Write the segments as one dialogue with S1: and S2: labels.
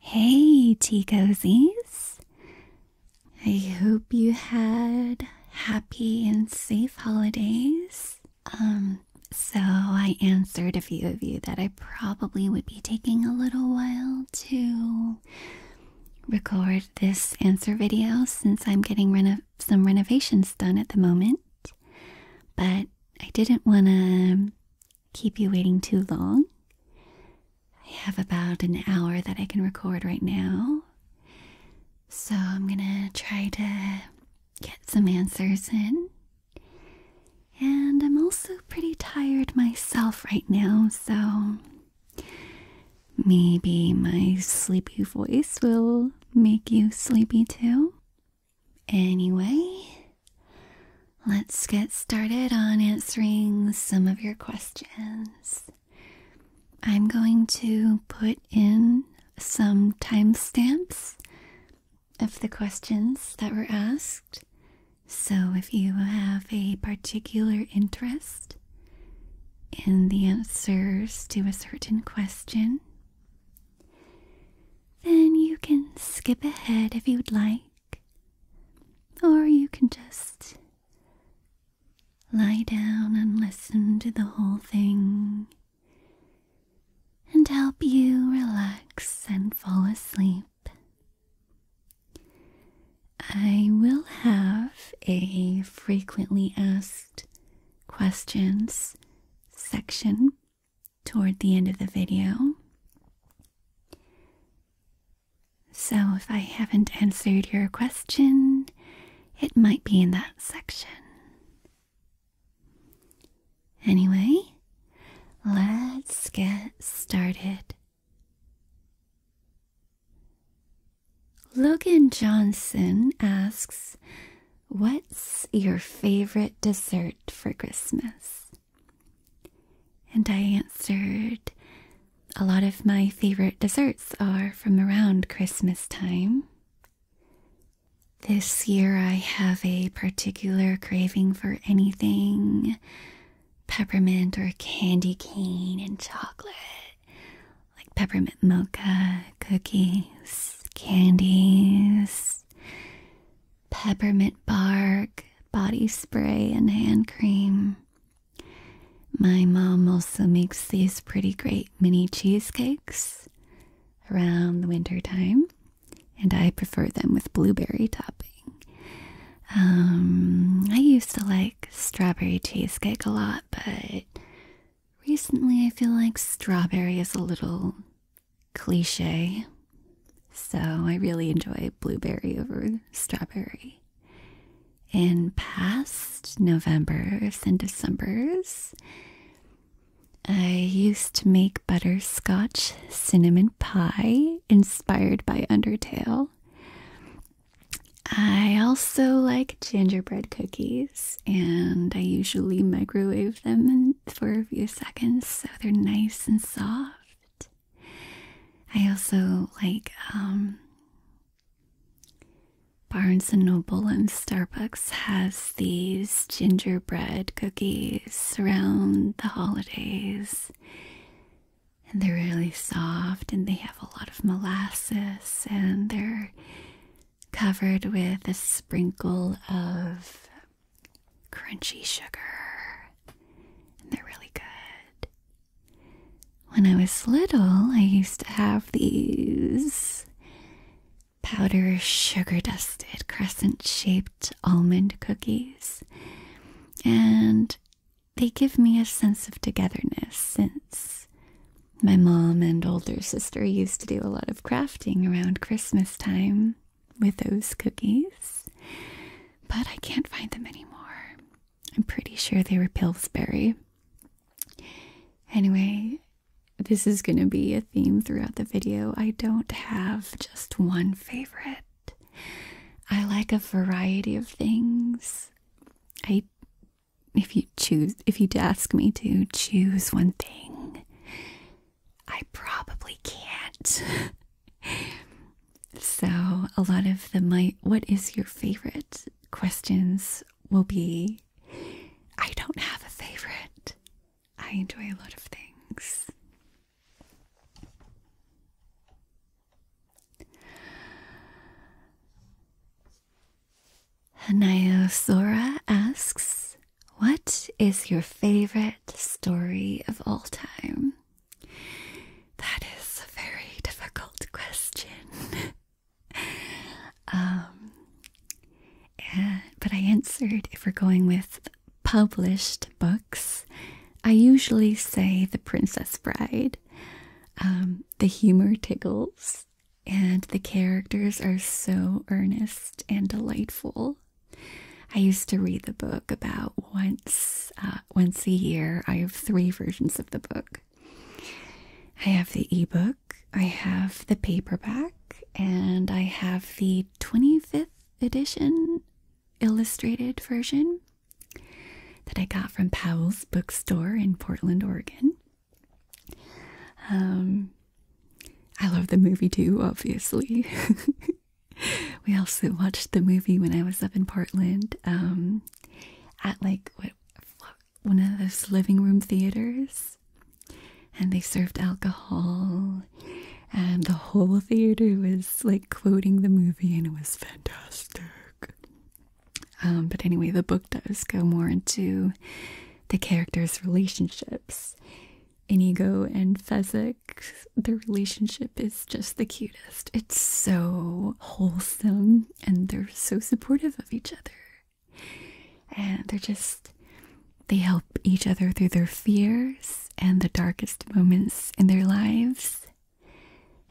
S1: Hey, tea cozies! I hope you had happy and safe holidays. Um, so I answered a few of you that I probably would be taking a little while to record this answer video since I'm getting reno some renovations done at the moment. But I didn't want to keep you waiting too long. I have about an hour that I can record right now. So I'm gonna try to get some answers in. And I'm also pretty tired myself right now, so maybe my sleepy voice will make you sleepy too. Anyway, Let's get started on answering some of your questions. I'm going to put in some timestamps of the questions that were asked. So if you have a particular interest in the answers to a certain question, then you can skip ahead if you'd like or you can just lie down and listen to the whole thing and help you relax and fall asleep. I will have a frequently asked questions section toward the end of the video. So if I haven't answered your question, it might be in that section. Anyway, let's get started. Logan Johnson asks, What's your favorite dessert for Christmas? And I answered, A lot of my favorite desserts are from around Christmas time. This year I have a particular craving for anything peppermint or candy cane and chocolate, like peppermint mocha, cookies, candies peppermint bark, body spray, and hand cream. My mom also makes these pretty great mini cheesecakes around the winter time, and I prefer them with blueberry topping. Um, I used to like strawberry cheesecake a lot, but recently I feel like strawberry is a little cliche. So I really enjoy blueberry over strawberry. In past Novembers and Decembers, I used to make butterscotch cinnamon pie inspired by Undertale. I also like gingerbread cookies, and I usually microwave them for a few seconds so they're nice and soft. I also like um, Barnes and Noble and Starbucks has these gingerbread cookies around the holidays. And they're really soft and they have a lot of molasses and they're covered with a sprinkle of crunchy sugar. And they're really good. When I was little, I used to have these powdered sugar dusted crescent shaped almond cookies, and they give me a sense of togetherness since my mom and older sister used to do a lot of crafting around Christmas time with those cookies. But I can't find them anymore. I'm pretty sure they were Pillsbury. Anyway, this is going to be a theme throughout the video. I don't have just one favorite. I like a variety of things. I if you choose if you'd ask me to choose one thing, I probably can't. so a lot of the my what is your favorite questions will be I don't have a favorite. I enjoy a lot of things. Hanayo Sora asks, What is your favorite story of all time? That is a very difficult question. um, but I answered if we're going with published books, I usually say The Princess Bride. Um, the humor tickles, and the characters are so earnest and delightful. I used to read the book about once uh, once a year. I have three versions of the book. I have the ebook, I have the paperback, and I have the 25th edition illustrated version that I got from Powell's bookstore in Portland, Oregon. Um, I love the movie too, obviously. we also watched the movie when I was up in Portland um, at like one of those living room theaters, and they served alcohol, and the whole theater was like quoting the movie, and it was fantastic. Um, but anyway, the book does go more into the characters' relationships. Inigo and Fezzik the relationship is just the cutest. It's so wholesome and they're so supportive of each other. And they're just, they help each other through their fears and the darkest moments in their lives.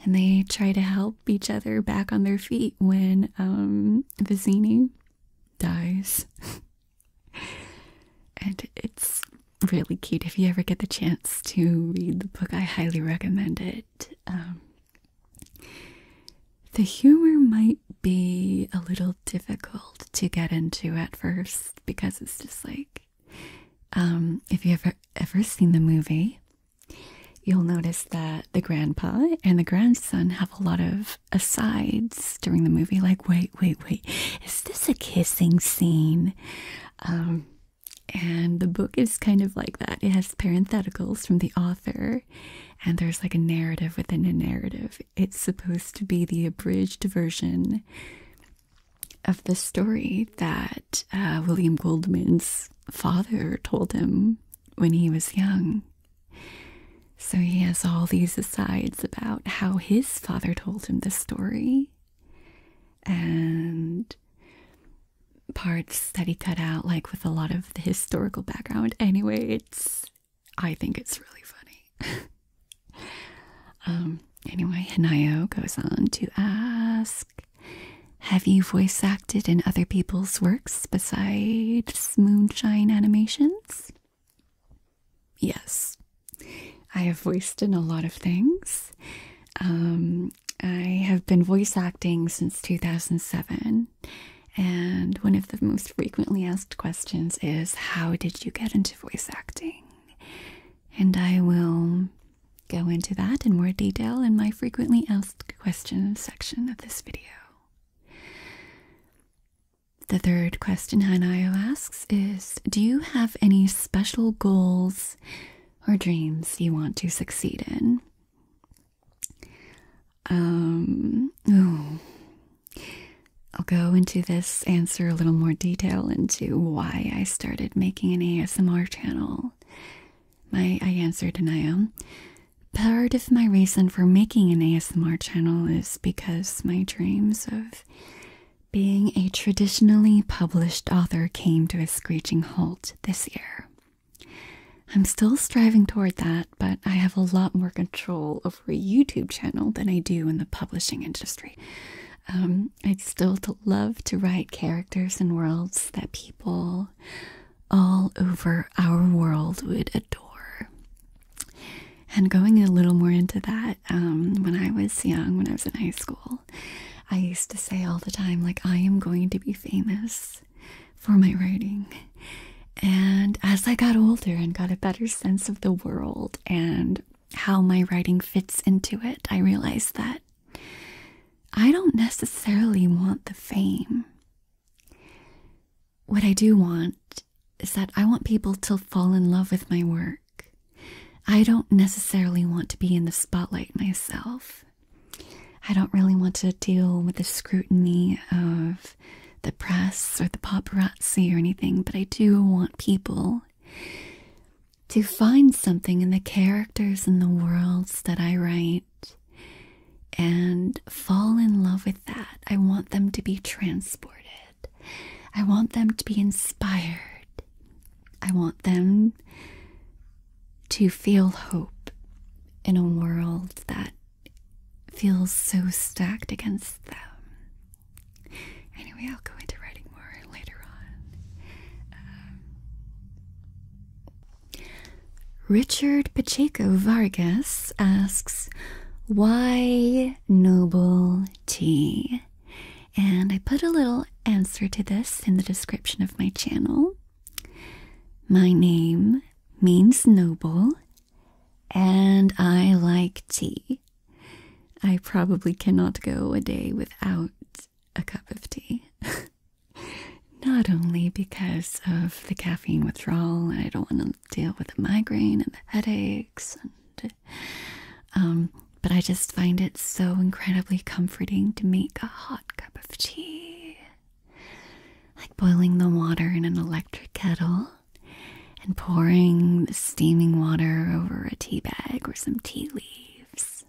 S1: And they try to help each other back on their feet when um, Vizini dies. and it's really cute if you ever get the chance to read the book, I highly recommend it. Um, the humor might be a little difficult to get into at first because it's just like um, if you ever ever seen the movie, you'll notice that the grandpa and the grandson have a lot of asides during the movie, like wait, wait, wait, is this a kissing scene? Um, and the book is kind of like that. It has parentheticals from the author, and there's like a narrative within a narrative. It's supposed to be the abridged version of the story that uh, William Goldman's father told him when he was young. So he has all these asides about how his father told him the story. And parts that he cut out, like with a lot of the historical background. Anyway, it's I think it's really funny. um, anyway, Hinayo goes on to ask Have you voice acted in other people's works besides moonshine animations? Yes, I have voiced in a lot of things. Um, I have been voice acting since 2007, and one of the most frequently asked questions is How did you get into voice acting? And I will go into that in more detail in my frequently asked questions section of this video. The third question Hanayo asks is Do you have any special goals or dreams you want to succeed in. Um, I'll go into this answer a little more detail into why I started making an ASMR channel. My I answered Anaya. Part of my reason for making an ASMR channel is because my dreams of being a traditionally published author came to a screeching halt this year. I'm still striving toward that, but I have a lot more control over a YouTube channel than I do in the publishing industry. Um, I'd still love to write characters and worlds that people all over our world would adore. And going a little more into that, um, when I was young, when I was in high school, I used to say all the time, like, I am going to be famous for my writing. And as I got older and got a better sense of the world and how my writing fits into it, I realized that I don't necessarily want the fame. What I do want is that I want people to fall in love with my work. I don't necessarily want to be in the spotlight myself. I don't really want to deal with the scrutiny of the press or the paparazzi or anything, but I do want people to find something in the characters and the worlds that I write and fall in love with that. I want them to be transported. I want them to be inspired. I want them to feel hope in a world that feels so stacked against them. Anyway, I'll go into writing more later on. Um, Richard Pacheco Vargas asks, Why noble tea? And I put a little answer to this in the description of my channel. My name means noble, and I like tea. I probably cannot go a day without a cup of tea. Not only because of the caffeine withdrawal, I don't want to deal with the migraine and the headaches, and, um, but I just find it so incredibly comforting to make a hot of tea, like boiling the water in an electric kettle and pouring the steaming water over a tea bag or some tea leaves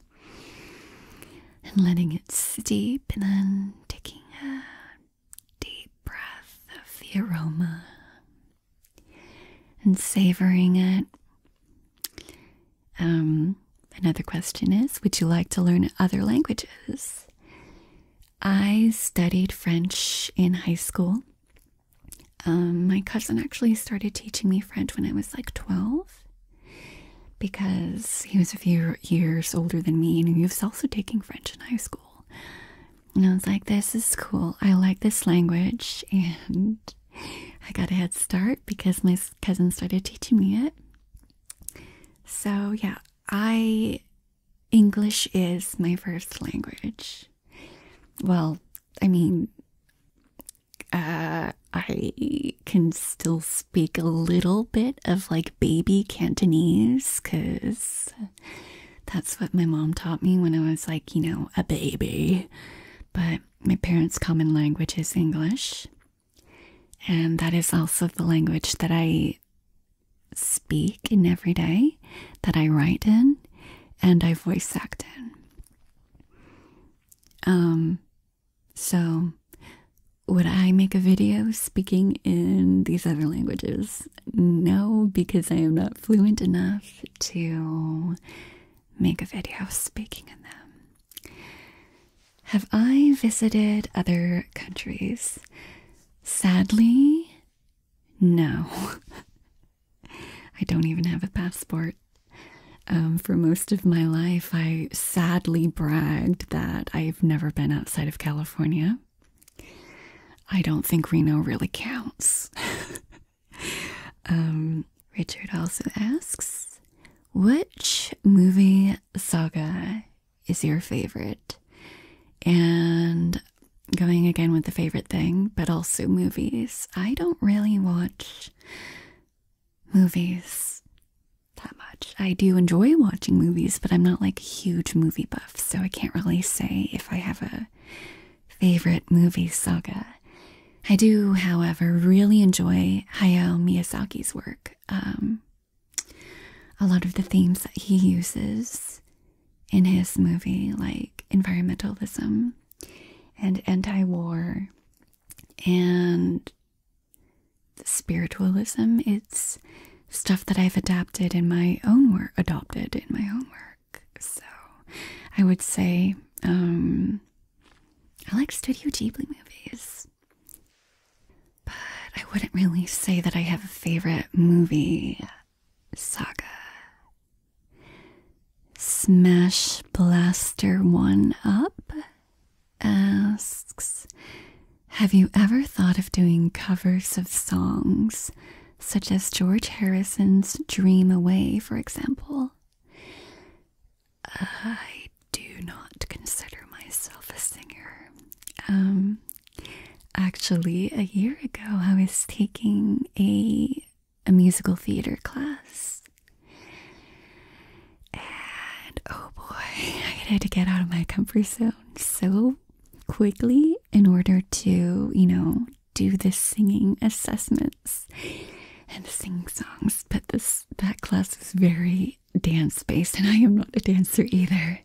S1: and letting it steep and then taking a deep breath of the aroma and savoring it um, another question is Would you like to learn other languages? I studied French in high school. Um, my cousin actually started teaching me French when I was like 12 because he was a few years older than me and he was also taking French in high school. And I was like, this is cool. I like this language. And I got a head start because my cousin started teaching me it. So, yeah, I English is my first language. Well, I mean, uh, I can still speak a little bit of like baby Cantonese because that's what my mom taught me when I was like, you know, a baby. But my parents' common language is English. And that is also the language that I speak in every day, that I write in, and I voice act in. Um, so, would I make a video speaking in these other languages? No, because I am not fluent enough to make a video speaking in them. Have I visited other countries? Sadly, no. I don't even have a passport. Um, for most of my life, I sadly bragged that I've never been outside of California. I don't think Reno really counts. Um, Richard also asks, which movie saga is your favorite. And going again with the favorite thing, but also movies. I don't really watch movies that much. I do enjoy watching movies, but I'm not like a huge movie buff, so I can't really say if I have a favorite movie saga. I do, however, really enjoy Hayao Miyazaki's work um, a lot of the themes that he uses in his movie, like environmentalism and anti war and spiritualism. It's stuff that I've adapted in my own work, adopted in my own work. So I would say um, I like Studio Ghibli movies. But I wouldn't really say that I have a favorite movie saga. Smash Blaster One Up asks Have you ever thought of doing covers of songs, such as George Harrison's Dream Away, for example? I do not consider myself a singer. Um, actually, a year ago, I was taking a a musical theater class, and oh boy, I had to get out of my comfort zone so quickly in order to, you know, do the singing assessments and sing songs. But this that class was very dance based, and I am not a dancer either.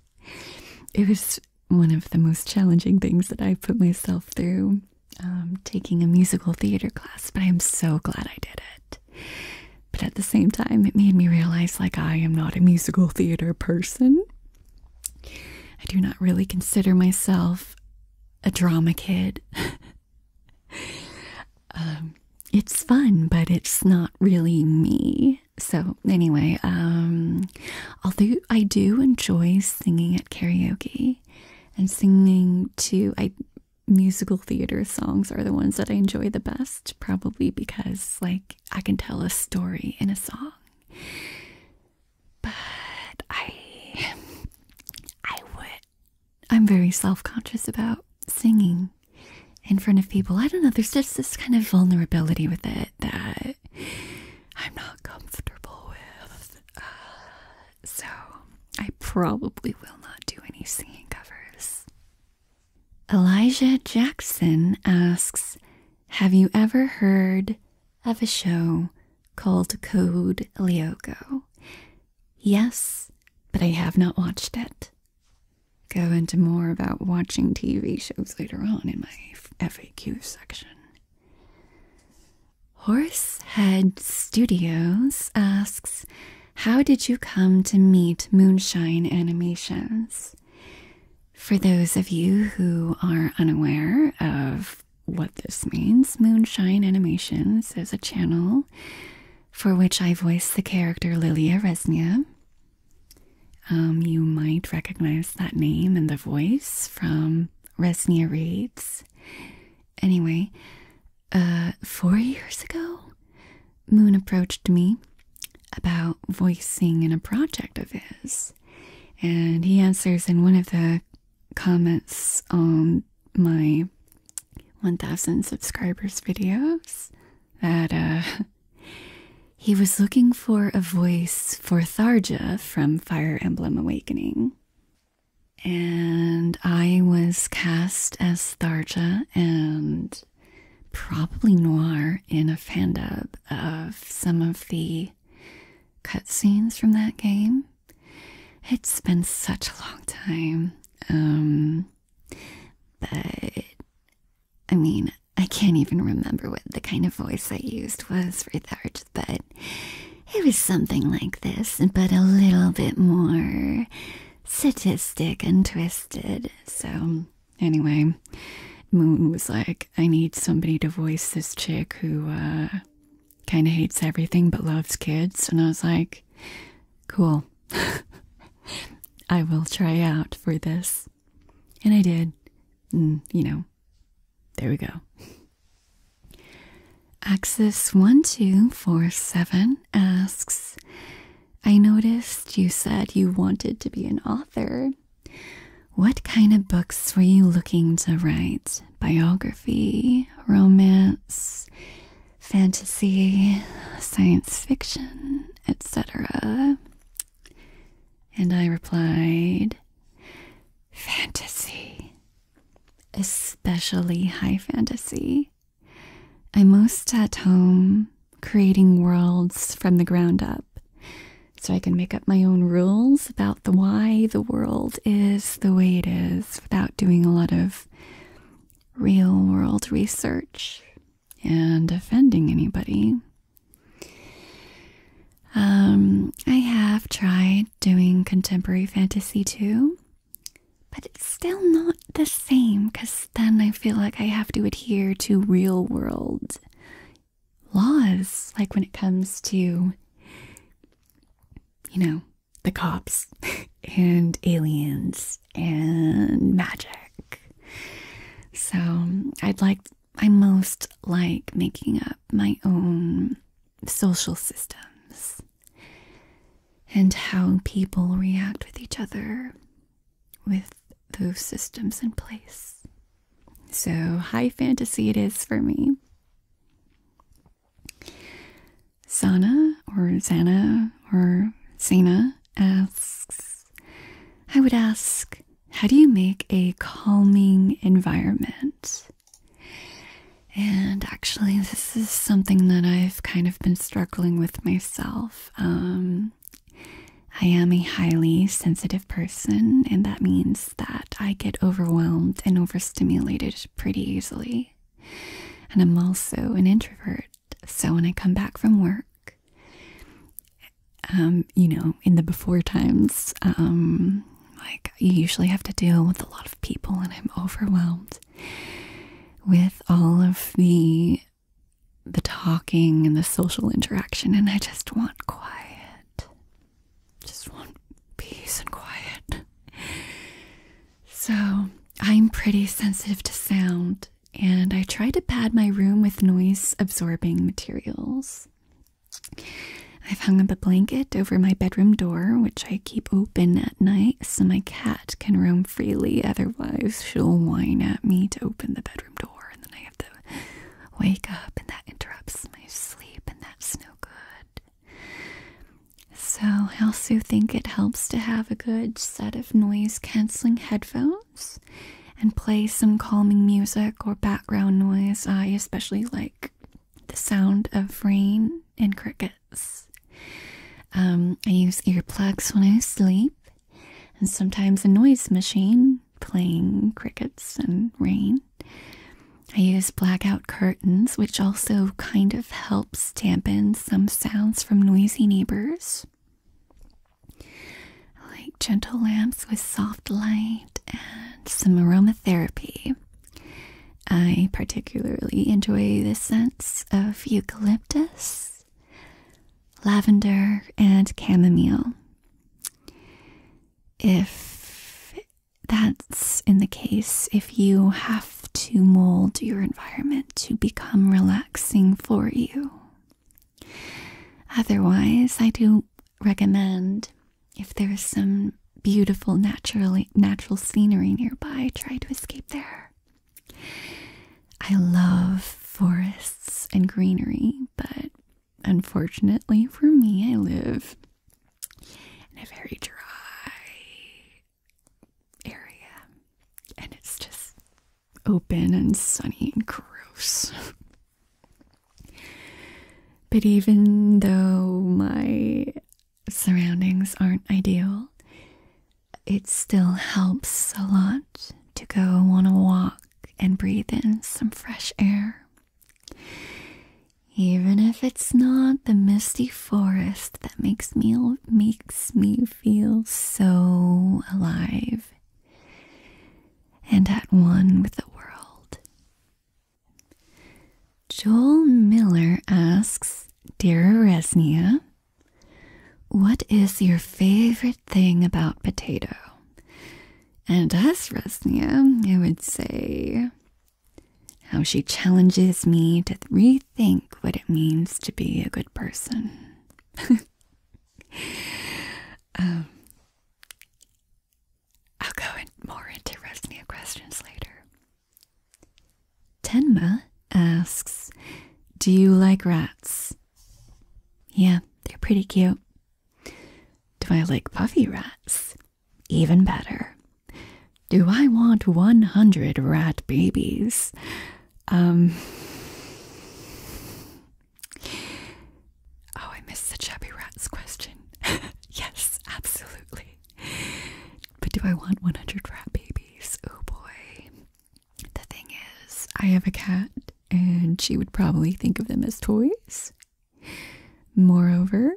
S1: It was one of the most challenging things that I put myself through um, taking a musical theater class, but I am so glad I did it. But at the same time, it made me realize like I am not a musical theater person. I do not really consider myself a drama kid. Um, it's fun, but it's not really me. So anyway, um, although I do enjoy singing at karaoke and singing to I musical theater songs are the ones that I enjoy the best, probably because like I can tell a story in a song. But I I would I'm very self-conscious about singing in front of people. I don't know, there's just this kind of vulnerability with it that I'm not comfortable with. Uh, so I probably will not do any singing covers. Elijah Jackson asks Have you ever heard of a show called Code Lyoko? Yes, but I have not watched it go into more about watching TV shows later on in my FAQ section. Horsehead Studios asks, How did you come to meet Moonshine Animations? For those of you who are unaware of what this means, Moonshine Animations is a channel for which I voiced the character Lilia Resnia. Um, you might recognize that name and the voice from Resnia Reads. Anyway, uh, four years ago, Moon approached me about voicing in a project of his, and he answers in one of the comments on my 1000 subscribers videos that uh, he was looking for a voice for Tharja from Fire Emblem Awakening. And I was cast as Tharja and probably Noir in a fan dub of some of the cutscenes from that game. It's been such a long time. Um, but I mean, I can't even remember what the kind of voice I used was for that, but it was something like this, but a little bit more sadistic and twisted. So, anyway, Moon was like, I need somebody to voice this chick who uh, kind of hates everything but loves kids. And I was like, cool, I will try out for this. And I did. Mm, you know, there we go. Axis 1247 asks I noticed you said you wanted to be an author. What kind of books were you looking to write? Biography, romance, fantasy, science fiction, etc. And I replied, Fantasy, especially high fantasy. I'm most at home creating worlds from the ground up so I can make up my own rules about the why the world is the way it is without doing a lot of real world research and offending anybody. Um, I have tried doing contemporary fantasy too, but it's still not the same because then I feel like I have to adhere to real world laws, like when it comes to, you know, the cops and aliens and magic. So I'd like, I most like making up my own social systems and how people react with each other with those systems in place. So high fantasy it is for me. Sana or Zana or Zena asks, I would ask, how do you make a calming environment? And actually, this is something that I've kind of been struggling with myself. Um, I am a highly sensitive person, and that means that I get overwhelmed and overstimulated pretty easily. And I'm also an introvert, so when I come back from work, um, you know, in the before times, um, like I usually have to deal with a lot of people, and I'm overwhelmed with all of the the talking and the social interaction, and I just want quiet. Just want peace and quiet. So I'm pretty sensitive to sound and I try to pad my room with noise absorbing materials. I've hung up a blanket over my bedroom door, which I keep open at night so my cat can roam freely, otherwise, she'll whine at me to open the bedroom door, and then I have to wake up, and that interrupts my sleep, and that's no good. So, I also think it helps to have a good set of noise canceling headphones and play some calming music or background noise. I especially like the sound of rain and crickets. Um, I use earplugs when I sleep, and sometimes a noise machine playing crickets and rain. I use blackout curtains, which also kind of helps dampen some sounds from noisy neighbors like gentle lamps with soft light and some aromatherapy. I particularly enjoy the scents of eucalyptus, lavender, and chamomile. If that's in the case, if you have to mold your environment to become relaxing for you, Otherwise, I do recommend if there's some beautiful naturally natural scenery nearby, try to escape there. I love forests and greenery, but unfortunately for me, I live in a very dry area and it's just open and sunny and gross. but even though my surroundings aren't ideal, it still helps a lot to go on a walk and breathe in some fresh air. Even if it's not the misty forest that makes me makes me feel so alive and at one with the world. Joel Miller asks Dear Resnia, what is your favorite thing about potato? And as Resnia, I would say how she challenges me to rethink what it means to be a good person. Um, I'll go in more into Resnia questions later. Tenma asks, Do you like rats? Yeah, they're pretty cute. Do I like puffy rats? Even better. Do I want 100 rat babies? Um, Oh, I missed the chubby rats question. yes, absolutely. But do I want 100 rat babies? Oh boy. The thing is, I have a cat and she would probably think of them as toys. Moreover,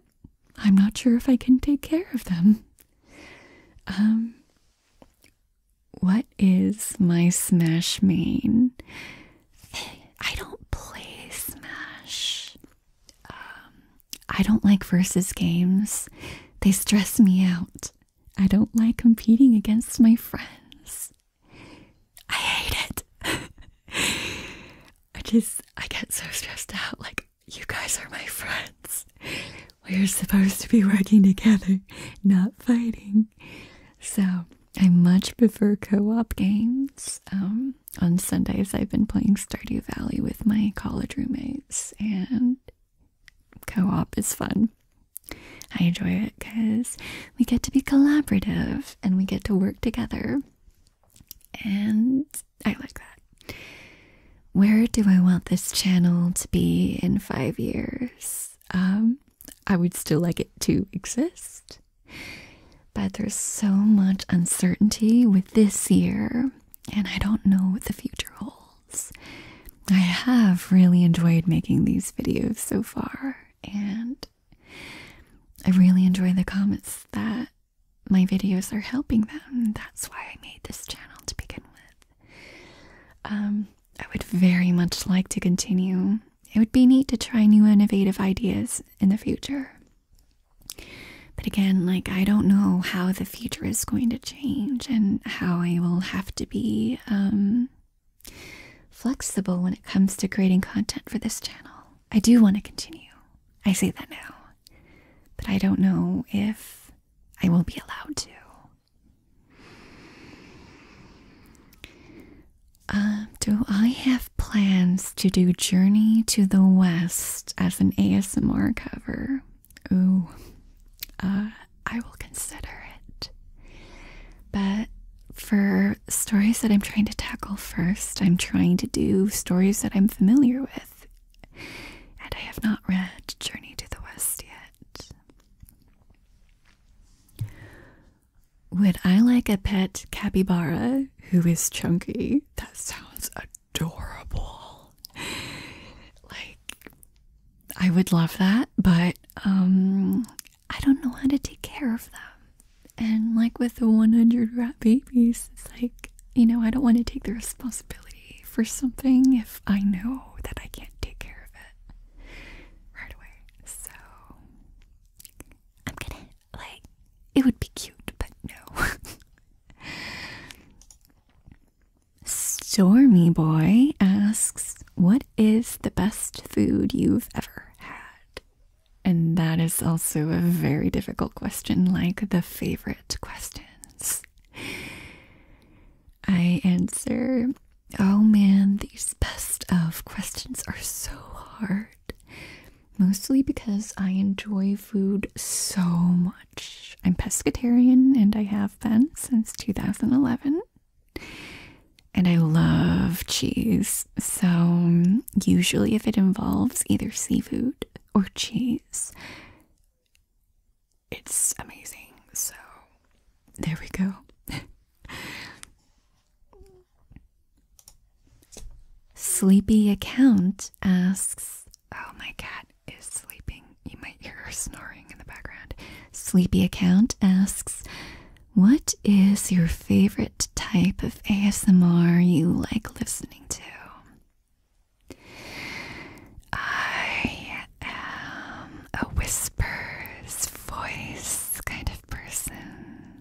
S1: I'm not sure if I can take care of them. Um what is my Smash main? I don't play Smash. Um, I don't like versus games. They stress me out. I don't like competing against my friends. I hate it. I just, I get so stressed out. Like, you guys are my friends. We're supposed to be working together, not fighting. So, I much prefer co-op games. Um, on Sundays, I've been playing Stardew Valley with my college roommates, and co-op is fun. I enjoy it because we get to be collaborative and we get to work together, and I like that. Where do I want this channel to be in five years? um, I would still like it to exist. But there's so much uncertainty with this year, and I don't know what the future holds. I have really enjoyed making these videos so far, and I really enjoy the comments that my videos are helping them. That's why I made this channel to begin with. Um, I would very much like to continue it would be neat to try new innovative ideas in the future. But again, like, I don't know how the future is going to change and how I will have to be um, flexible when it comes to creating content for this channel. I do want to continue. I say that now. But I don't know if I will be allowed to. Uh, do I have plans to do Journey to the West as an ASMR cover? Ooh, uh, I will consider it. But for stories that I'm trying to tackle first, I'm trying to do stories that I'm familiar with. And I have not read Journey to the West yet. Would I like a pet capybara who is chunky? That sounds adorable. Like, I would love that, but um, I don't know how to take care of them. And like with the 100 rat babies, it's like, you know, I don't want to take the responsibility for something if I know that I can't take care of it right away. So I'm gonna, like, it would be cute, but no. Stormy Boy asks, What is the best food you've ever had? And that is also a very difficult question, like the favorite questions. I answer Oh man, these best of questions are so hard. Mostly because I enjoy food so much. I'm pescatarian and I have been since 2011. And I love cheese. So, usually, if it involves either seafood or cheese, it's amazing. So, there we go. Sleepy Account asks, Oh, my cat is sleeping. You might hear her snoring in the background. Sleepy Account asks, What is your favorite type of ASMR you like listening to? I am a whisper's voice kind of person.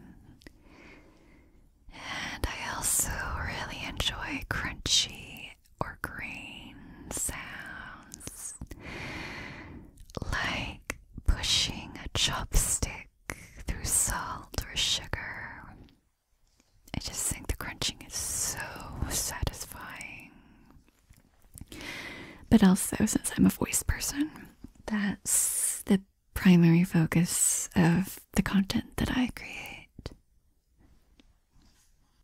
S1: And I also really enjoy crunchy or grain sounds like pushing a chopstick through salt or sugar. I just think the crunching is so satisfying. But also, since I'm a voice person, that's the primary focus of the content that I create.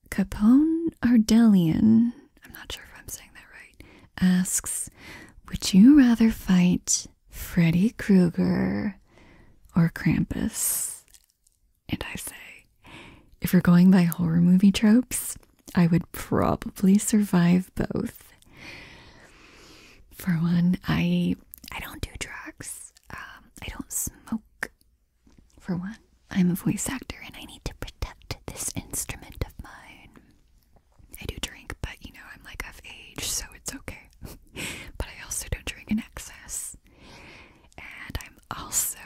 S1: Capone Ardelian, I'm not sure if I'm saying that right, asks Would you rather fight Freddy Krueger or Krampus? And I say, if you're going by horror movie tropes, I would probably survive both. For one, I I don't do drugs. Um, I don't smoke. For one, I'm a voice actor and I need to protect this instrument of mine. I do drink, but you know, I'm like of age, so it's okay. but I also don't drink in excess. And I'm also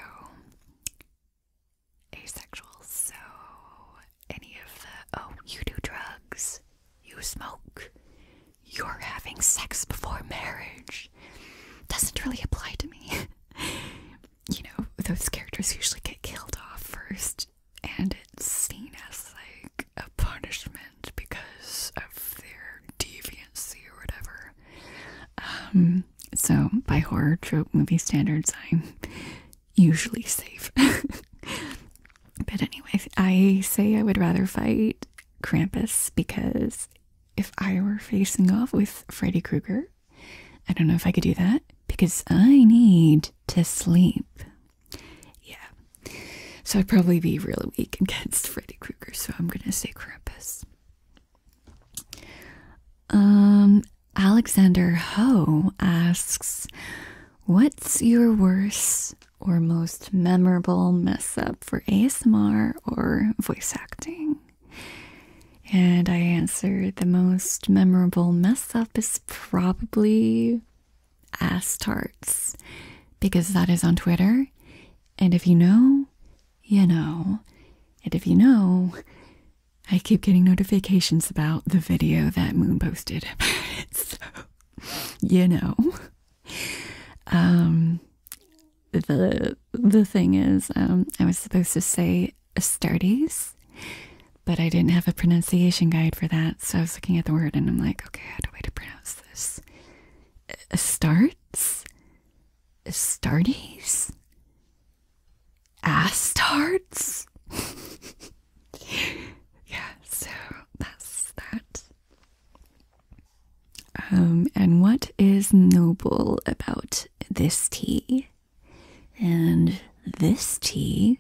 S1: asexual, so any of the oh, you do drugs, you smoke, you're having sex before marriage doesn't really apply to me. you know, those characters usually get killed off first, and it's seen as like a punishment because of their deviancy or whatever. Um, so, by horror trope movie standards, I'm usually safe. but anyway, I say I would rather fight Krampus because if I were facing off with Freddy Krueger, I don't know if I could do that because I need to sleep. Yeah. So I'd probably be really weak against Freddy Krueger, so I'm going to say Krampus. Um, Alexander Ho asks, What's your worst or most memorable mess up for ASMR or voice acting? And I answered, The most memorable mess up is probably ass tarts because that is on Twitter. And if you know, you know. And if you know, I keep getting notifications about the video that Moonbo you know. Um, the the thing is, um, I was supposed to say Astartes, but I didn't have a pronunciation guide for that, so I was looking at the word and I'm like, okay, how do I to pronounce this? Astartes, Astartes, Astartes. yeah, so that's that. Um, and what is noble about this tea? And this tea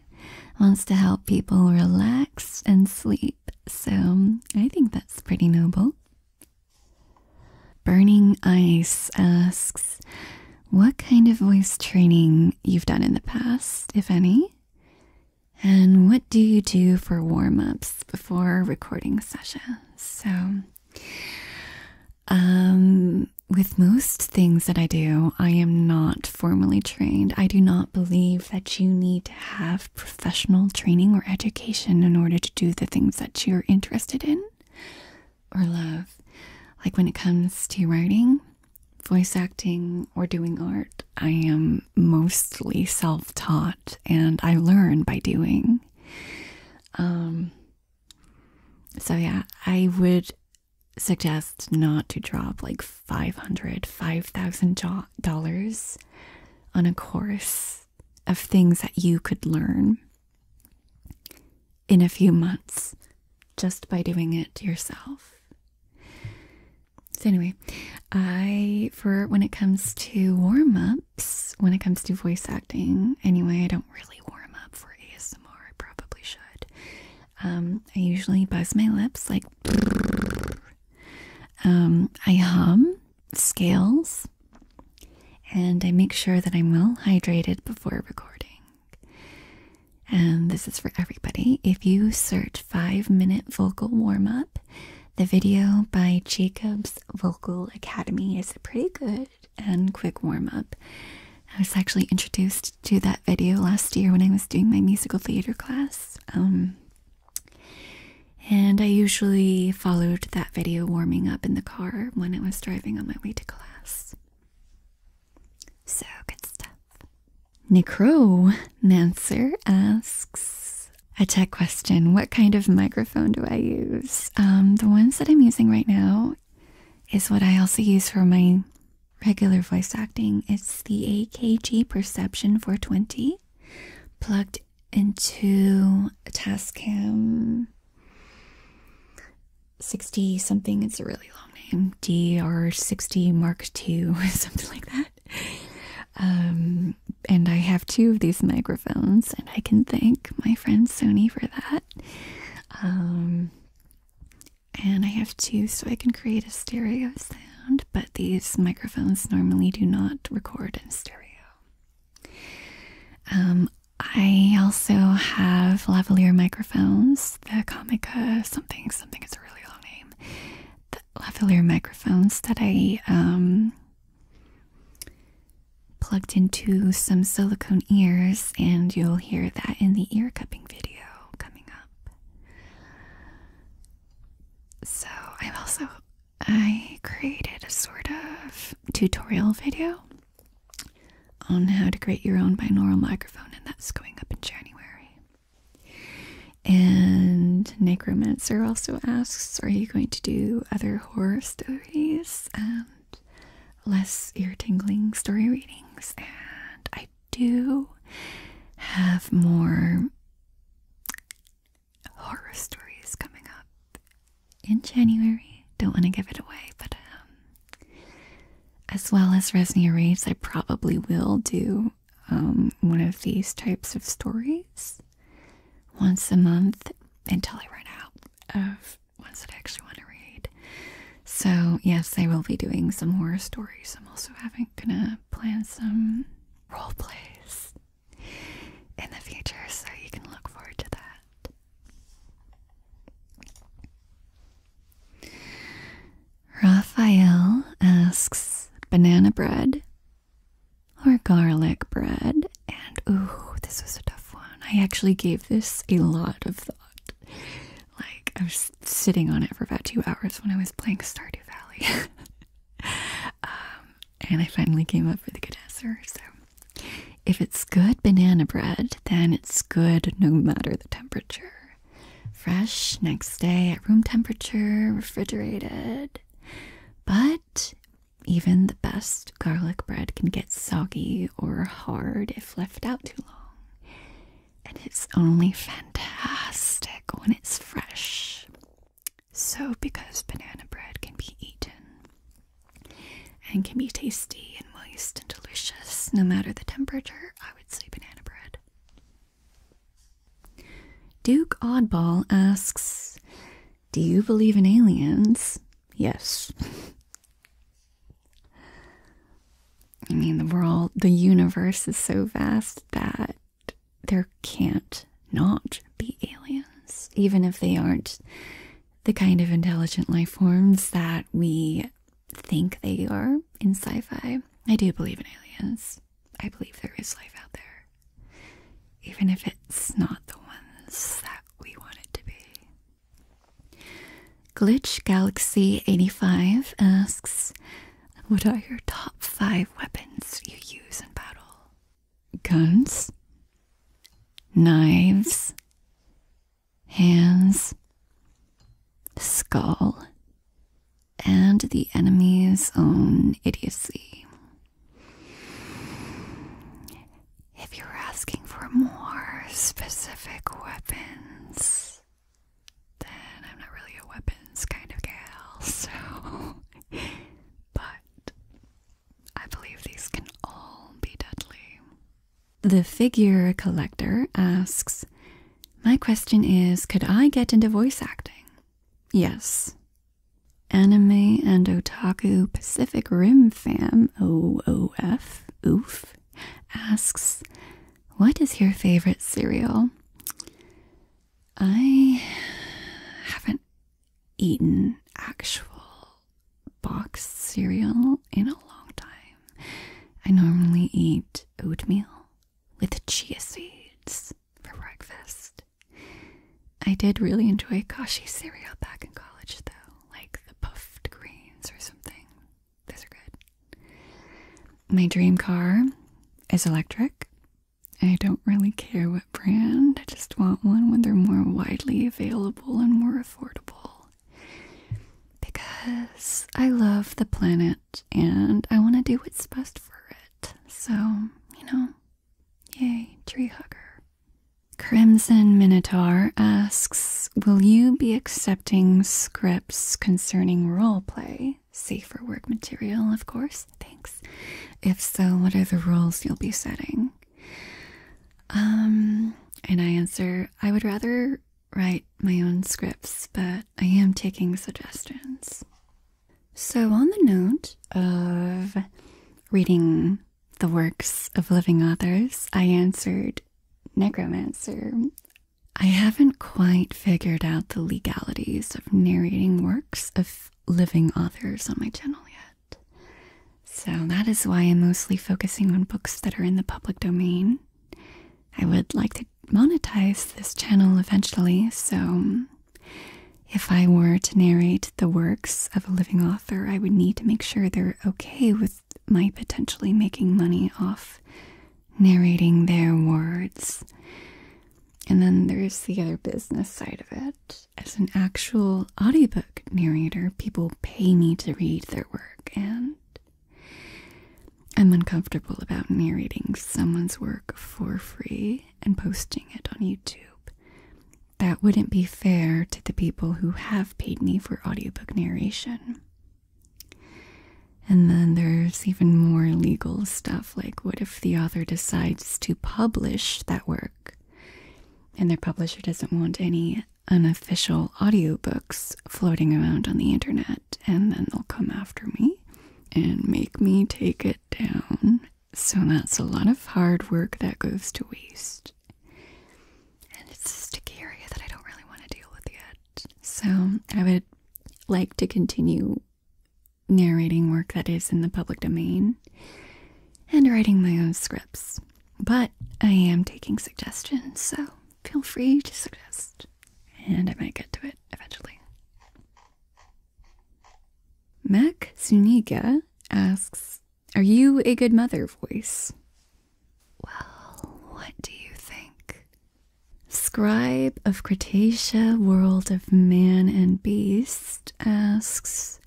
S1: wants to help people relax and sleep, so I think that's pretty noble. Burning Ice asks, What kind of voice training you've done in the past, if any? And what do you do for warm ups before recording sessions? So, um, with most things that I do, I am not formally trained. I do not believe that you need to have professional training or education in order to do the things that you're interested in or love. Like when it comes to writing, voice acting or doing art. I am mostly self taught and I learn by doing. Um, so, yeah, I would suggest not to drop like 500 $5,000 on a course of things that you could learn in a few months just by doing it yourself. So anyway, I for when it comes to warm-ups, when it comes to voice acting, anyway, I don't really warm up for ASMR. I probably should. Um, I usually buzz my lips like um, I hum scales and I make sure that I'm well hydrated before recording. And this is for everybody. If you search 5 minute vocal warm up, the video by Jacobs Vocal Academy is a pretty good and quick warm up. I was actually introduced to that video last year when I was doing my musical theater class. Um, and I usually followed that video warming up in the car when I was driving on my way to class. So good stuff. Necro Manser asks a tech question. What kind of microphone do I use? Um, the ones that I'm using right now is what I also use for my regular voice acting. It's the AKG Perception 420 plugged into a Tascam 60 something. It's a really long long name, DR60 Mark II, something like that. Um, and I have two of these microphones, and I can thank my friend Sony for that. Um, and I have two so I can create a stereo sound, but these microphones normally do not record in stereo. Um, I also have lavalier microphones, the Comica something, something, it's a really long name. The lavalier microphones that I um, plugged into some silicone ears, and you'll hear that in the ear cupping video coming up. So I've also I created a sort of tutorial video on how to create your own binaural microphone, and that's going up in January. And Necromancer also asks, Are you going to do other horror stories and less ear tingling story readings? And I do have more horror stories coming up in January. Don't want to give it away, but um, as well as Resnia Reads, I probably will do um, one of these types of stories once a month until I run out of ones that I actually want to read. So, yes, I will be doing some horror stories. I'm also having gonna plan some role plays in the future, so you can look forward to that. Raphael asks banana bread or garlic bread. And ooh, this was a tough one. I actually gave this a lot of thought. Like, I was sitting on it for about two hours when I was playing Stardew Valley. Um, and I finally came up with a good answer. So, if it's good banana bread, then it's good no matter the temperature. Fresh next day at room temperature, refrigerated. But even the best garlic bread can get soggy or hard if left out too long. And it's only fantastic when it's fresh. So, because banana bread can be eaten and can be tasty and moist and delicious no matter the temperature, I would say banana bread. Duke Oddball asks, Do you believe in aliens? Yes. I mean, the world, the universe is so vast that there can't not be aliens, even if they aren't the kind of intelligent life forms that we think they are in sci fi. I do believe in aliens. I believe there is life out there, even if it's not the ones that we want it to be. Glitch Galaxy 85 asks, What are your top five weapons you use in battle? Guns, knives, hands, skull, and the enemy's own idiocy. If you're asking for more specific weapons, then I'm not really a weapons kind of gal, so. but I believe these can all be deadly. The figure collector asks my question is could I get into voice acting? Yes. Anime and Otaku Pacific Rim fan OOF Oof asks, What is your favorite cereal? I haven't eaten actual boxed cereal in a long time. I normally eat oatmeal with chia seeds for breakfast. I did really enjoy Kashi cereal back in college, though, like the puffed greens or something. Those are good. My dream car is electric. I don't really care what brand, I just want one when they're more widely available and more affordable. Because I love the planet and I want to do what's best for it. So, you know, yay, tree hugger. Crimson Minotaur asks Will you be accepting scripts concerning role play? Safer work material, of course. Thanks. If so, what are the rules you'll be setting? Um, and I answer I would rather write my own scripts, but I am taking suggestions. So, on the note of reading the works of living authors, I answered Necromancer. I haven't quite figured out the legalities of narrating works of living authors on my channel yet. So that is why I'm mostly focusing on books that are in the public domain. I would like to monetize this channel eventually, so if I were to narrate the works of a living author, I would need to make sure they're okay with my potentially making money off narrating their words. And then there's the other business side of it. As an actual audiobook narrator, people pay me to read their work, and I'm uncomfortable about narrating someone's work for free and posting it on YouTube. That wouldn't be fair to the people who have paid me for audiobook narration. And then there's even more legal stuff like what if the author decides to publish that work and their publisher doesn't want any unofficial audiobooks floating around on the internet and then they'll come after me? and make me take it down. So that's a lot of hard work that goes to waste. And it's a sticky area that I don't really want to deal with yet. So I would like to continue narrating work that is in the public domain and writing my own scripts. But I am taking suggestions, so feel free to suggest, and I might get to it eventually. Mac Zuniga asks, Are you a good mother voice? Well, what do you think? Scribe of Cretaceous World of Man and Beast asks,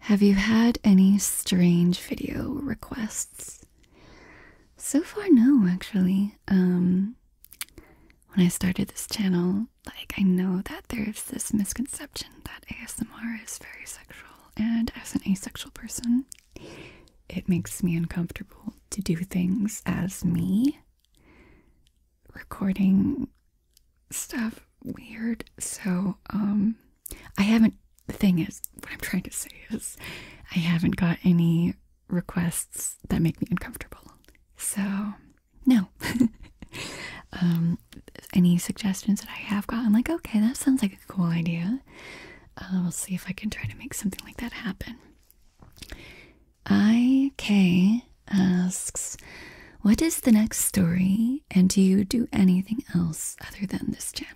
S1: Have you had any strange video requests? So far, no, actually. Um, when I started this channel, like I know that there's this misconception that ASMR is very sexual, and as an asexual person, it makes me uncomfortable to do things as me. Recording stuff weird. So, um, I haven't. The thing is, what I'm trying to say is, I haven't got any requests that make me uncomfortable. So, no. um, any suggestions that I have gotten, like, okay, that sounds like a cool idea. i uh, we'll see if I can try to make something like that happen. IK asks, What is the next story? And do you do anything else other than this channel?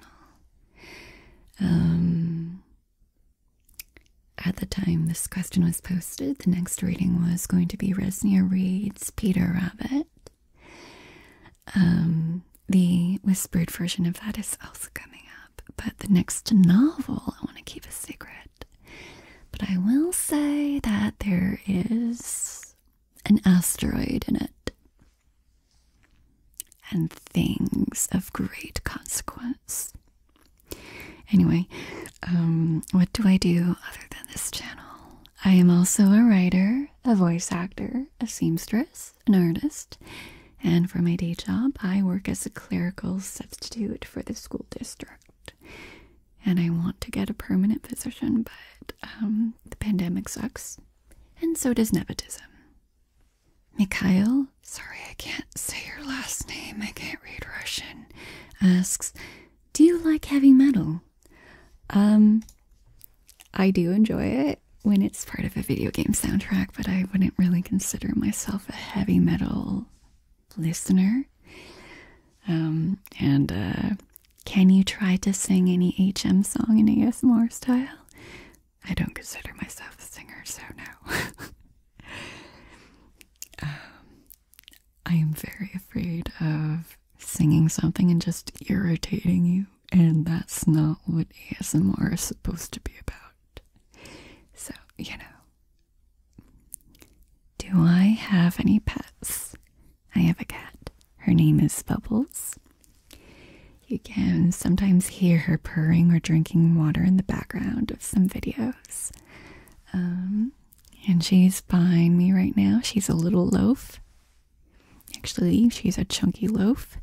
S1: Um, at the time this question was posted, the next reading was going to be Resnia Reed's Peter Rabbit. Um, the whispered version of that is also coming up, but the next novel I want to keep a secret. But I will say that there is an asteroid in it and things of great consequence. Anyway, um, what do I do other than this channel? I am also a writer, a voice actor, a seamstress, an artist, and for my day job, I work as a clerical substitute for the school district. And I want to get a permanent position, but um, the pandemic sucks, and so does nepotism. Mikhail, sorry I can't say your last name, I can't read Russian asks, Do you like heavy metal? Um, I do enjoy it when it's part of a video game soundtrack, but I wouldn't really consider myself a heavy metal listener. Um, and uh, can you try to sing any HM song in ASMR style? I don't consider myself a singer, so no. Um, I am very afraid of singing something and just irritating you, and that's not what ASMR is supposed to be about. So, you know. Do I have any pets? I have a cat. Her name is Bubbles. You can sometimes hear her purring or drinking water in the background of some videos. Um, and she's behind me right now. She's a little loaf. Actually, she's a chunky loaf.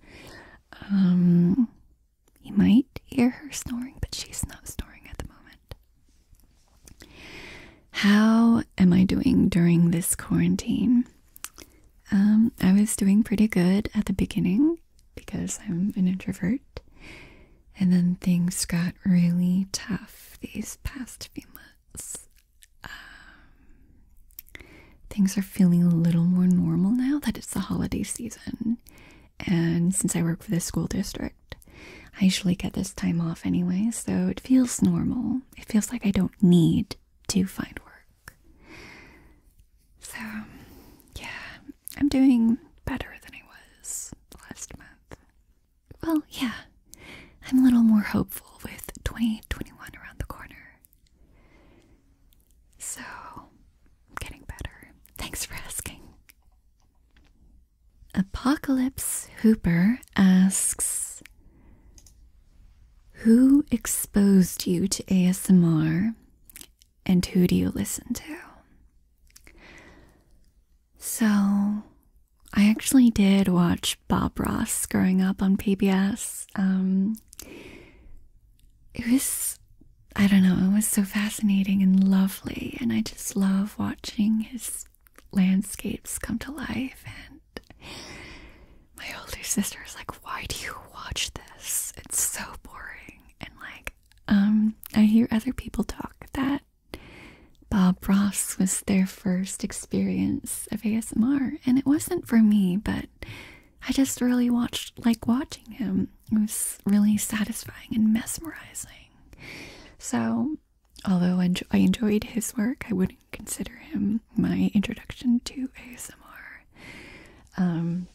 S1: Um, you might hear her snoring, but she's not snoring at the moment. How am I doing during this quarantine? Um, I was doing pretty good at the beginning because I'm an introvert and then things got really tough these past few months. Um, things are feeling a little more normal now that it's the holiday season. And since I work for the school district, I usually get this time off anyway, so it feels normal. It feels like I don't need to find work. So, yeah, I'm doing better than I was last month. Well, yeah, I'm a little more hopeful with 2021 around the corner. So, I'm getting better. Thanks for asking. Apocalypse Hooper asks Who exposed you to ASMR and who do you listen to? So, I actually did watch Bob Ross growing up on PBS. Um, it was, I don't know, it was so fascinating and lovely, and I just love watching his landscapes come to life. And my older sister is like, Why do you watch this? It's so boring. And like, um, I hear other people talk that Bob Ross was their first experience of ASMR, and it wasn't for me, but I just really watched, like watching him. It was really satisfying and mesmerizing. So, although I, enjoyed his work, I wouldn't consider him my introduction to ASMR. Um,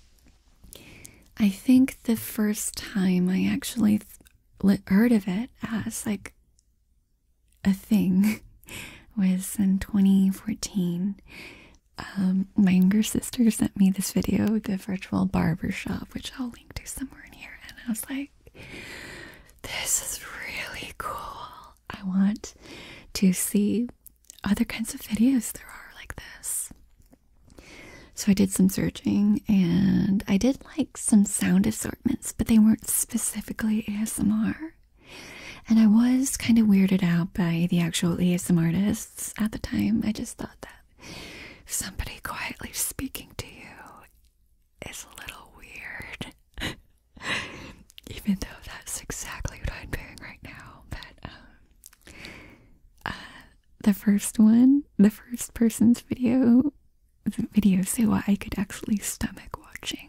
S1: I think the first time I actually heard of it as like a thing was in 2014 um, my younger sister sent me this video the virtual barber shop which i'll link to somewhere in here and i was like this is really cool i want to see other kinds of videos there are like this so I did some searching and I did like some sound assortments, but they weren't specifically ASMR. And I was kind of weirded out by the actual ASMR artists at the time. I just thought that somebody quietly speaking to you is a little weird. Even though that's exactly what I'm doing right now. But um, uh, the first one, the first person's video video so I could actually stomach watching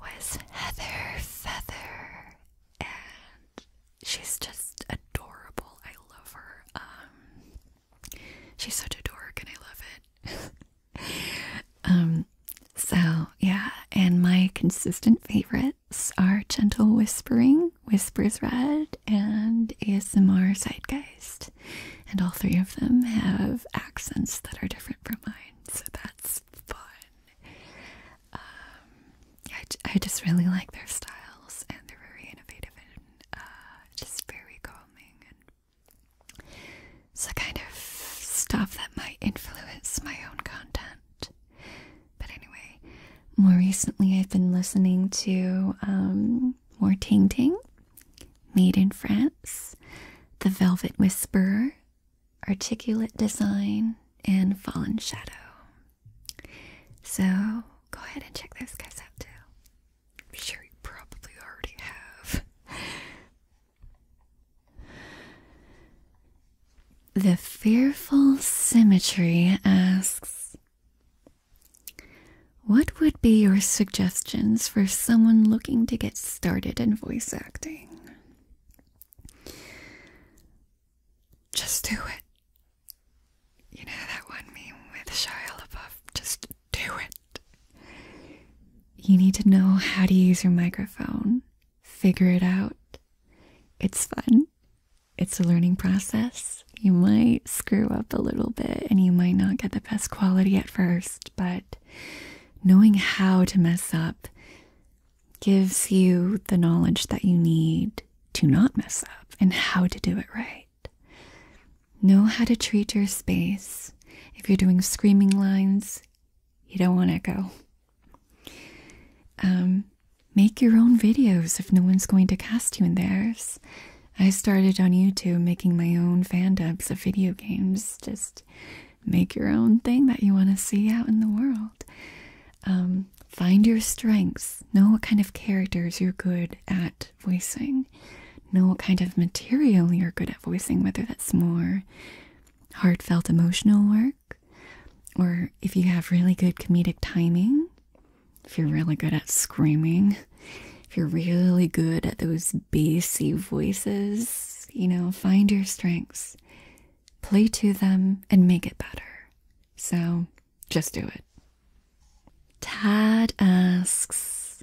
S1: was Heather Feather, and she's just adorable. I love her. Um, she's such a dork, and I love it. um, so yeah, and my consistent favorites are Gentle Whispering, Whispers Red, and ASMR Zeitgeist. And all three of them have accents that are different from mine, so that's fun. Um, I, I just really like their styles, and they're very innovative and uh, just very calming. it's the kind of stuff that might influence my own content. But anyway, more recently I've been listening to um, more Ting Ting Made in France, The Velvet Whisperer, Articulate Design, and Fallen Shadow. So go ahead and check those guys out too. I'm sure you probably already have. The Fearful Symmetry asks what would be your suggestions for someone looking to get started in voice acting? Just do it. You know that one meme with Shia LaBeouf? Just do it. You need to know how to use your microphone. Figure it out. It's fun. It's a learning process. You might screw up a little bit and you might not get the best quality at first, but knowing how to mess up gives you the knowledge that you need to not mess up and how to do it right. Know how to treat your space. If you're doing screaming lines, you don't want to go. Um, make your own videos if no one's going to cast you in theirs. I started on YouTube making my own fan dubs of video games. Just make your own thing that you want to see out in the world. Um, find your strengths. Know what kind of characters you're good at voicing. Know what kind of material you're good at voicing, whether that's more heartfelt emotional work, or if you have really good comedic timing, if you're really good at screaming, if you're really good at those bassy voices, you know, find your strengths, play to them, and make it better. So just do it. Tad asks,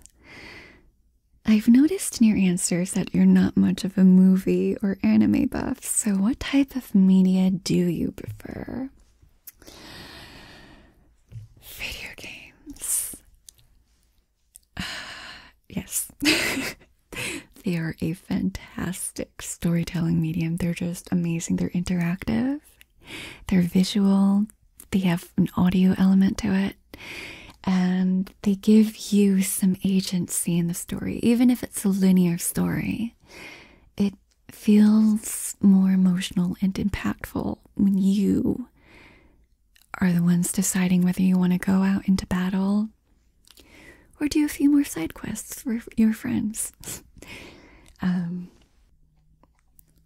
S1: I've noticed in your answers that you're not much of a movie or anime buff, so what type of media do you prefer? Video games. yes. they are a fantastic storytelling medium. They're just amazing. They're interactive, they're visual, they have an audio element to it, and they give you some agency in the story. Even if it's a linear story, it feels more emotional and impactful when you are the ones deciding whether you want to go out into battle or do a few more side quests for your friends. um,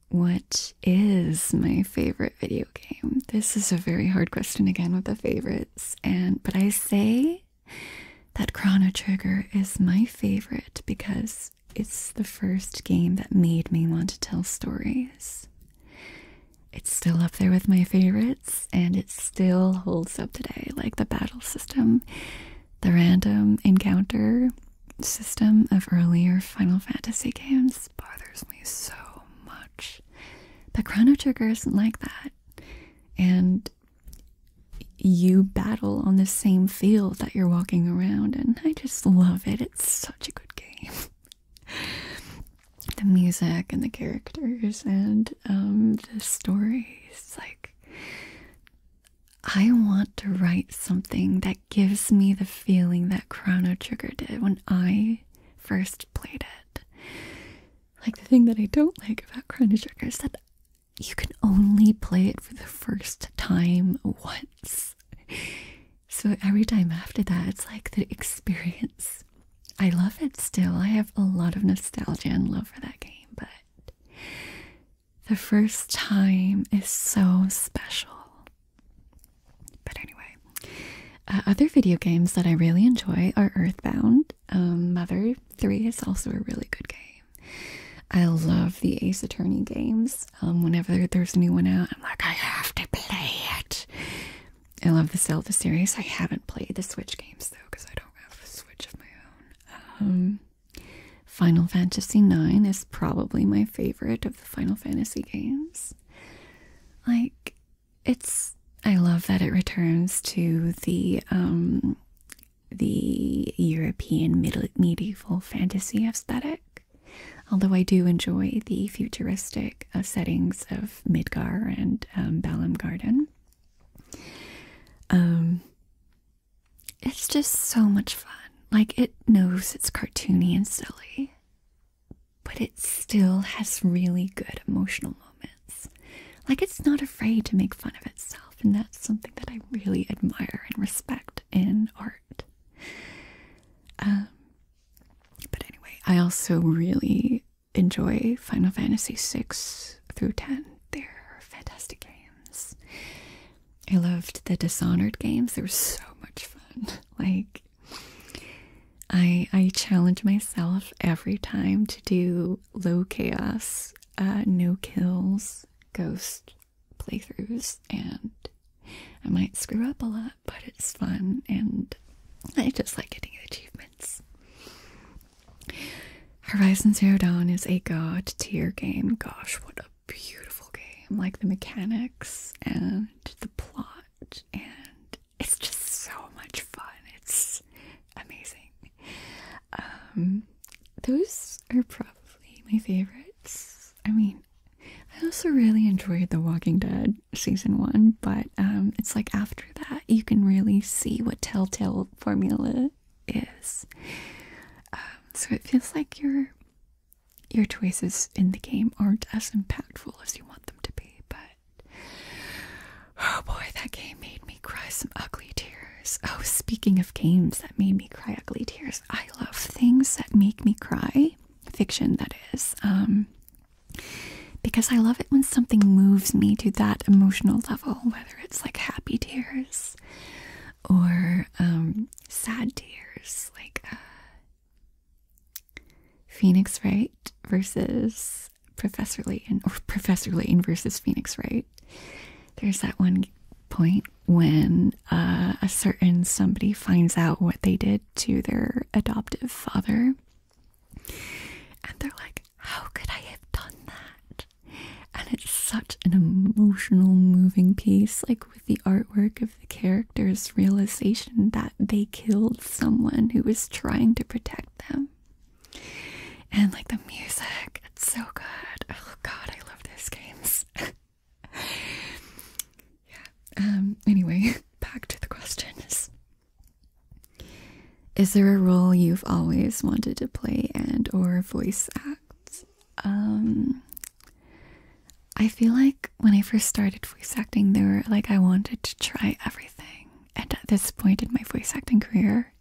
S1: what is my favorite video game? This is a very hard question again with the favorites, and but I say that Chrono Trigger is my favorite because it's the first game that made me want to tell stories. It's still up there with my favorites and it still holds up today like the battle system, the random encounter system of earlier Final Fantasy games bothers me so much. But Chrono Trigger isn't like that. And you battle on the same field that you're walking around and I just love it. It's so such a good game. the music and the characters and um, the stories. Like, I want to write something that gives me the feeling that Chrono Trigger did when I first played it. Like, the thing that I don't like about Chrono Trigger is that you can only play it for the first time once. So every time after that, it's like the experience. I love it still. I have a lot of nostalgia and love for that game, but the first time is so special. But anyway, uh, other video games that I really enjoy are Earthbound. Um, Mother 3 is also a really good game. I love the Ace Attorney games. Um, whenever there's a new one out, I'm like, I have to play it. I love the Zelda series. I haven't played the Switch games though, because I don't have a Switch of my own. Um, Final Fantasy Nine is probably my favorite of the Final Fantasy games. Like, it's I love that it returns to the um the European middle medieval fantasy aesthetic. Although I do enjoy the futuristic uh, settings of Midgar and um, Balam Garden. Um, it's just so much fun. Like, it knows it's cartoony and silly, but it still has really good emotional moments. Like, it's not afraid to make fun of itself, and that's something that I really admire and respect in art. Um, but anyway, I also really enjoy Final Fantasy 6 through 10. They're fantastic games. I loved the Dishonored games. They were so much fun. Like I I challenge myself every time to do low chaos, uh, no kills, ghost playthroughs, and I might screw up a lot, but it's fun and I just like getting achievements. Horizon Zero Dawn is a god tier game. Gosh, what a beautiful game. Like the mechanics and the plot and it's just so much fun. It's amazing. Um, those are probably my favorites. I mean, I also really enjoyed The Walking Dead season one, but um, it's like after that you can really see what Telltale formula is. Um, so it feels like your your choices in the game aren't as impactful as you want them to be. But oh boy, that game made me cry some ugly tears. Oh, speaking of games that made me cry ugly tears, I love things that make me cry fiction that is um, because i love it when something moves me to that emotional level whether it's like happy tears or um, sad tears like uh, phoenix wright versus professor layton or professor layton versus phoenix wright there's that one point when uh, a certain somebody finds out what they did to their adoptive father. And they're like, How could I have done that? And it's such an emotional, moving piece, like with the artwork of the character's realization that they killed someone who was trying to protect them. And like the music, it's so good. Oh god, I love those games. yeah. Um, anyway, back to the questions. Is there a role you've always wanted to play and or voice act? Um I feel like when I first started voice acting, there were like I wanted to try everything. And at this point in my voice acting career,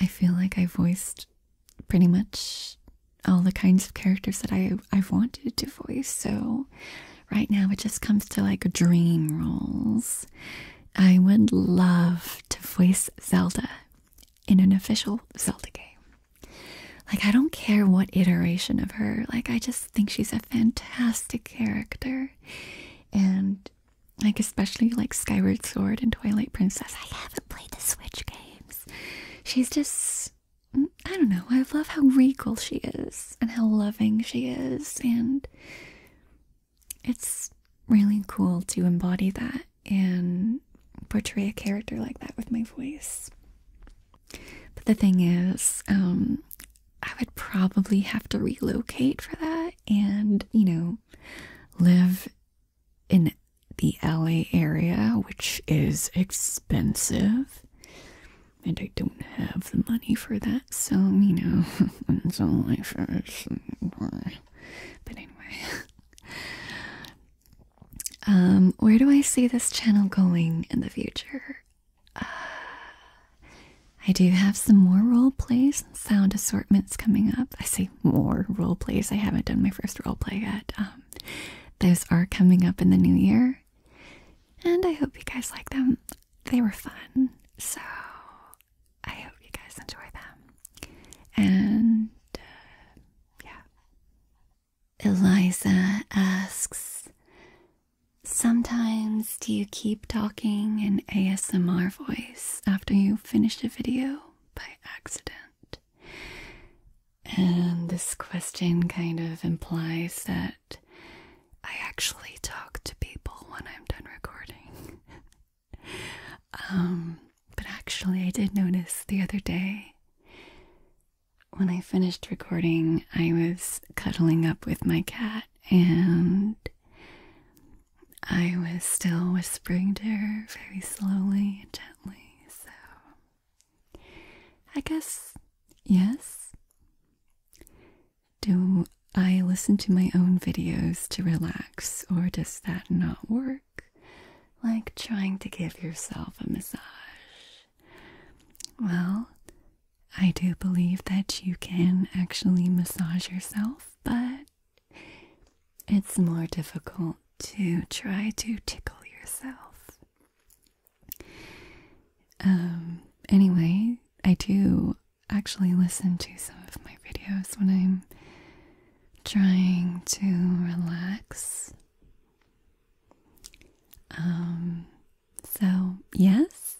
S1: I feel like I voiced pretty much all the kinds of characters that I I've wanted to voice. So right now it just comes to like dream roles. I would love to voice Zelda in an official Zelda game. Like I don't care what iteration of her. Like I just think she's a fantastic character. And like especially like Skyward Sword and Twilight Princess. I haven't played the Switch games. She's just I don't know. I love how regal she is and how loving she is, and it's really cool to embody that and portray a character like that with my voice. But the thing is, um, I would probably have to relocate for that and, you know, live in the LA area, which is expensive and I don't have the money for that, so you know, it's only first. But anyway, um, where do I see this channel going in the future? Uh, I do have some more role plays sound assortments coming up. I say more role plays. I haven't done my first role play yet. Um, those are coming up in the new year. And I hope you guys like them. They were fun. So I hope you guys enjoy them. And uh, yeah. Eliza asks Sometimes do you keep talking in ASMR voice after you finish a video by accident? And this question kind of implies that I actually talk to people when I'm done recording. Um, but actually, I did notice the other day when I finished recording, I was cuddling up with my cat and I was still whispering to her very slowly and gently. So I guess, yes. Do I listen to my own videos to relax, or does that not work? Like trying to give yourself a massage. Well, I do believe that you can actually massage yourself, but it's more difficult to try to tickle yourself. Um, anyway, I do actually listen to some of my videos when I'm trying to relax. Um, so yes,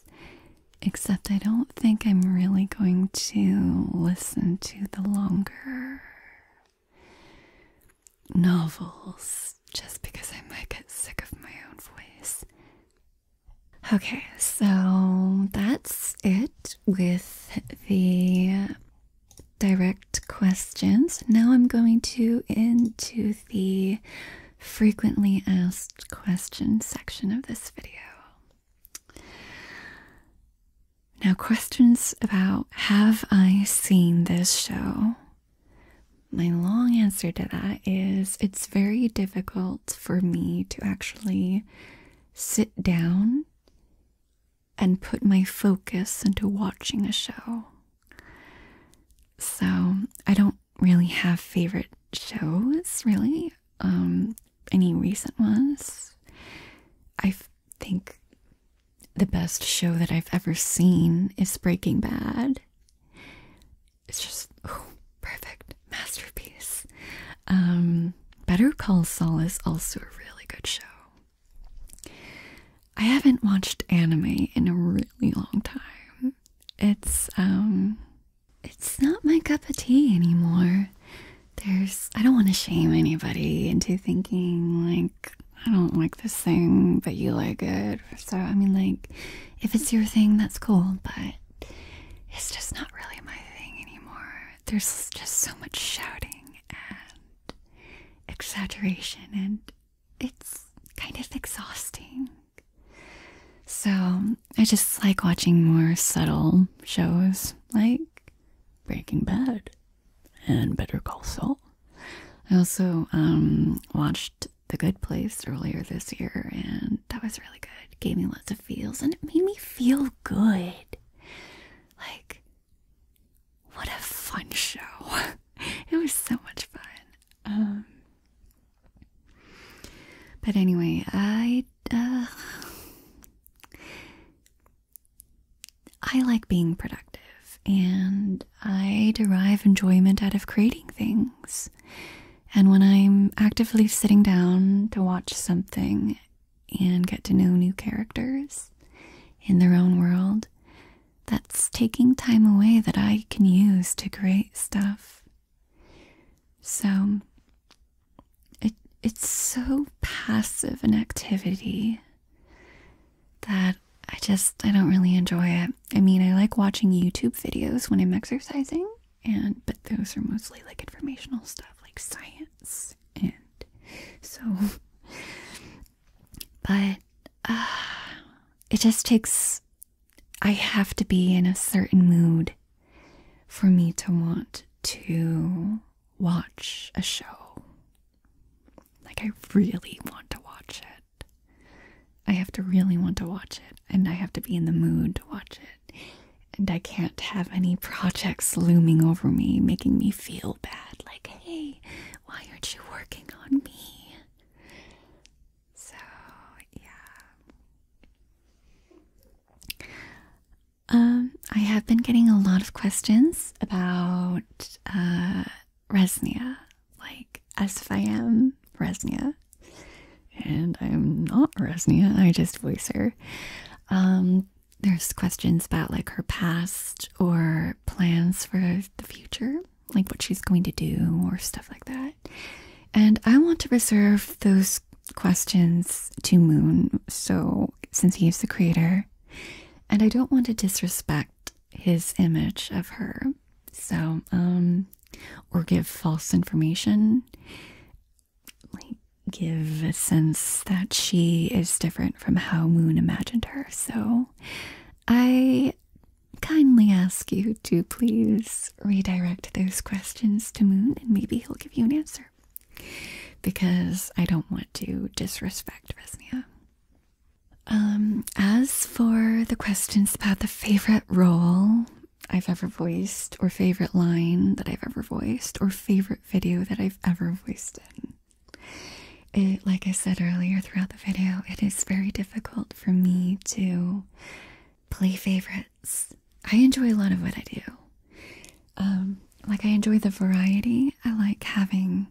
S1: except I don't think I'm really going to listen to the longer novels just because I might get sick of my own voice. Okay, so that's it with the direct questions. Now I'm going to into the frequently asked questions section of this video. Now, questions about have I seen this show? My long answer to that is it's very difficult for me to actually sit down and put my focus into watching a show. So, I don't really have favorite shows, really. Um, any recent ones. I think the best show that I've ever seen is Breaking Bad. It's just oh, perfect masterpiece. Um, Better Call Saul is also a really good show. I haven't watched anime in a really long time. It's um it's not my cup of tea anymore. There's I don't want to shame anybody into thinking like I don't like this thing, but you like it so, I mean, like, if it's your thing, that's cool, but it's just not really my thing anymore. There's just so much shouting and exaggeration, and it's kind of exhausting. So, I just like watching more subtle shows like Breaking Bad and Better Call Saul. I also um, watched the Good Place earlier this year, and that was really good. gave me lots of feels, and it made me feel good. Like, what a fun show! it was so much fun. Um, but anyway, I uh, I like being productive, and I derive enjoyment out of creating things. And when I'm actively sitting down to watch something and get to know new characters in their own world, that's taking time away that I can use to create stuff. So it it's so passive an activity that I just I don't really enjoy it. I mean, I like watching YouTube videos when I'm exercising, and but those are mostly like informational stuff like science and so but uh, it just takes I have to be in a certain mood for me to want to watch a show. Like I really want to watch it. I have to really want to watch it, and I have to be in the mood to watch it. And I can't have any projects looming over me, making me feel bad. Like, hey, why aren't you working on me? So, yeah. Um, I have been getting a lot of questions about uh, Resnia, like as if I am Resnia, and I'm not Resnia. I just voice her. Um, there's questions about like her past or plans for the future, like what she's going to do or stuff like that. And I want to reserve those questions to Moon, so since he's the creator, and I don't want to disrespect his image of her. So, um, or give false information, like give a sense that she is different from how Moon imagined her. So, I kindly ask you to please redirect those questions to Moon and maybe he'll give you an answer. Because I don't want to disrespect Vesnia. Um, as for the questions about the favorite role I've ever voiced, or favorite line that I've ever voiced, or favorite video that I've ever voiced in, like I said earlier throughout the video, it is very difficult for me to play favorites. I enjoy a lot of what I do. Um, like I enjoy the variety. I like having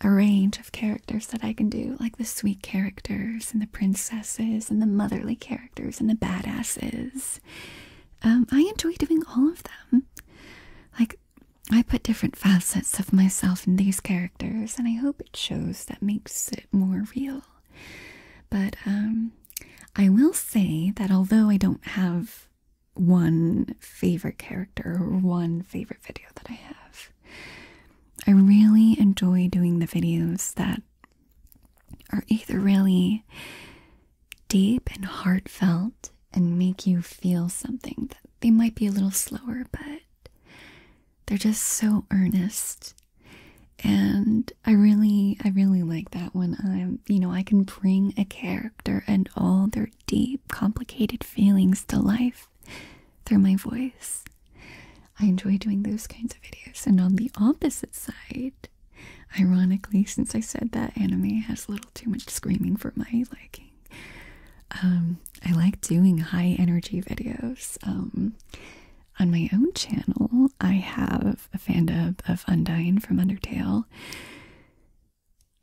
S1: a range of characters that I can do, like the sweet characters and the princesses and the motherly characters and the badasses. Um, I enjoy doing all of them. Like, I put different facets of myself in these characters, and I hope it shows that makes it more real. But um, I will say that although I don't have one favorite character or one favorite video that I have, I really enjoy doing the videos that are either really deep and heartfelt and make you feel something. They might be a little slower, but they're just so earnest. And I really, I really like that when I'm, you know, I can bring a character and all their deep, complicated feelings to life through my voice. I enjoy doing those kinds of videos. And on the opposite side, ironically, since I said that anime has a little too much screaming for my liking, um, I like doing high energy videos. Um, on my own channel, I have a fan dub of Undyne from Undertale.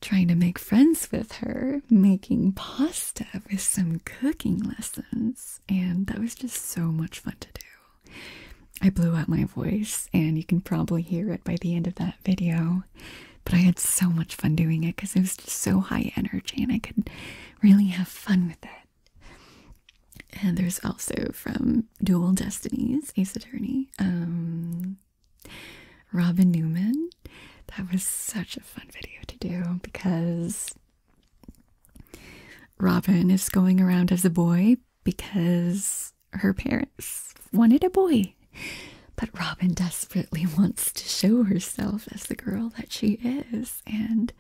S1: Trying to make friends with her, making pasta with some cooking lessons. And that was just so much fun to do. I blew out my voice, and you can probably hear it by the end of that video. But I had so much fun doing it because it was just so high energy and I could really have fun with it. And there's also from Dual Destinies, Ace Attorney, um, Robin Newman. That was such a fun video to do because Robin is going around as a boy because her parents wanted a boy. But Robin desperately wants to show herself as the girl that she is. And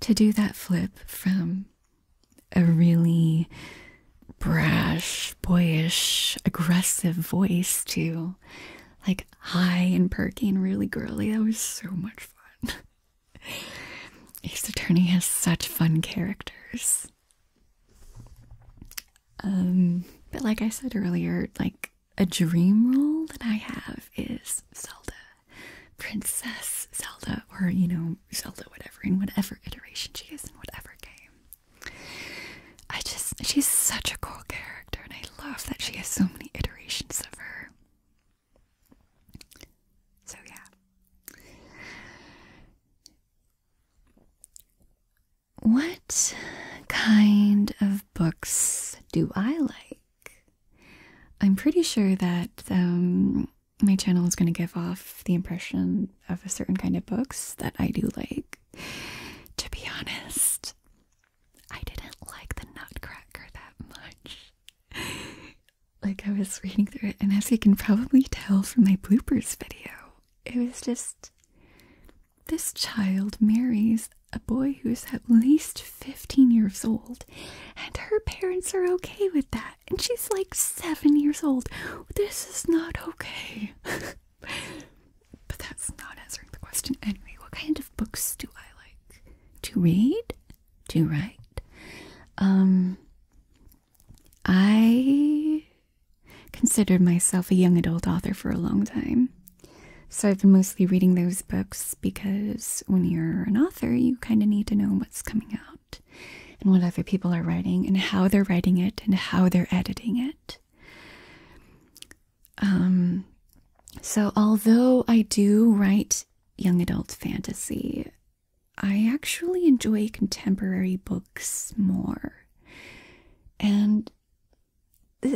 S1: to do that flip from a really brash, boyish, aggressive voice to like high and perky and really girly, that was so much fun. Ace Attorney has such fun characters. Um, but like I said earlier, like a dream role that I have is Zelda, Princess Zelda, or you know, Zelda, whatever, in whatever iteration she is in whatever game. I just, she's such a cool character, and I love that she has so many iterations of her. So, yeah. What kind of books do I like? I'm pretty sure that um, my channel is going to give off the impression of a certain kind of books that I do like. To be honest, I didn't like the Nutcracker that much. like I was reading through it, and as you can probably tell from my bloopers video, it was just this child marries a boy who's at least 15 years old, and her parents are okay with that, and she's like seven years old. This is not okay. but that's not answering the question. Anyway, what kind of books do I like to read? to write. Um, I considered myself a young adult author for a long time. So I've been mostly reading those books because when you're an author, you kind of need to know what's coming out and what other people are writing and how they're writing it and how they're editing it. Um, so although I do write young adult fantasy, I actually enjoy contemporary books more. And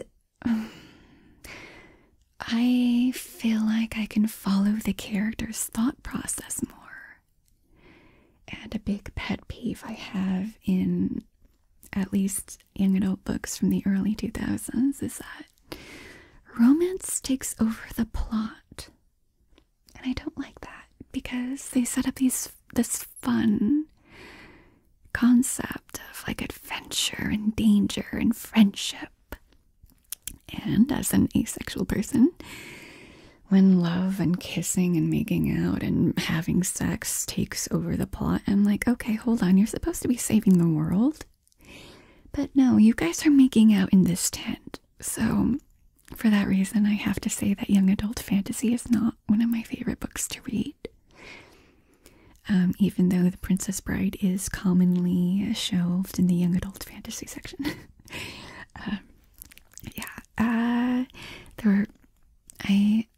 S1: I feel like I can follow the character's thought process more. And a big pet peeve I have in at least young adult books from the early 2000s is that romance takes over the plot. And I don't like that because they set up these this fun concept of like adventure and danger and friendship. And as an asexual person, when love and kissing and making out and having sex takes over the plot, I'm like, okay, hold on, you're supposed to be saving the world. But no, you guys are making out in this tent. So, for that reason, I have to say that young adult fantasy is not one of my favorite books to read. Um, even though The Princess Bride is commonly shelved in the young adult fantasy section. um, yeah, uh, there I,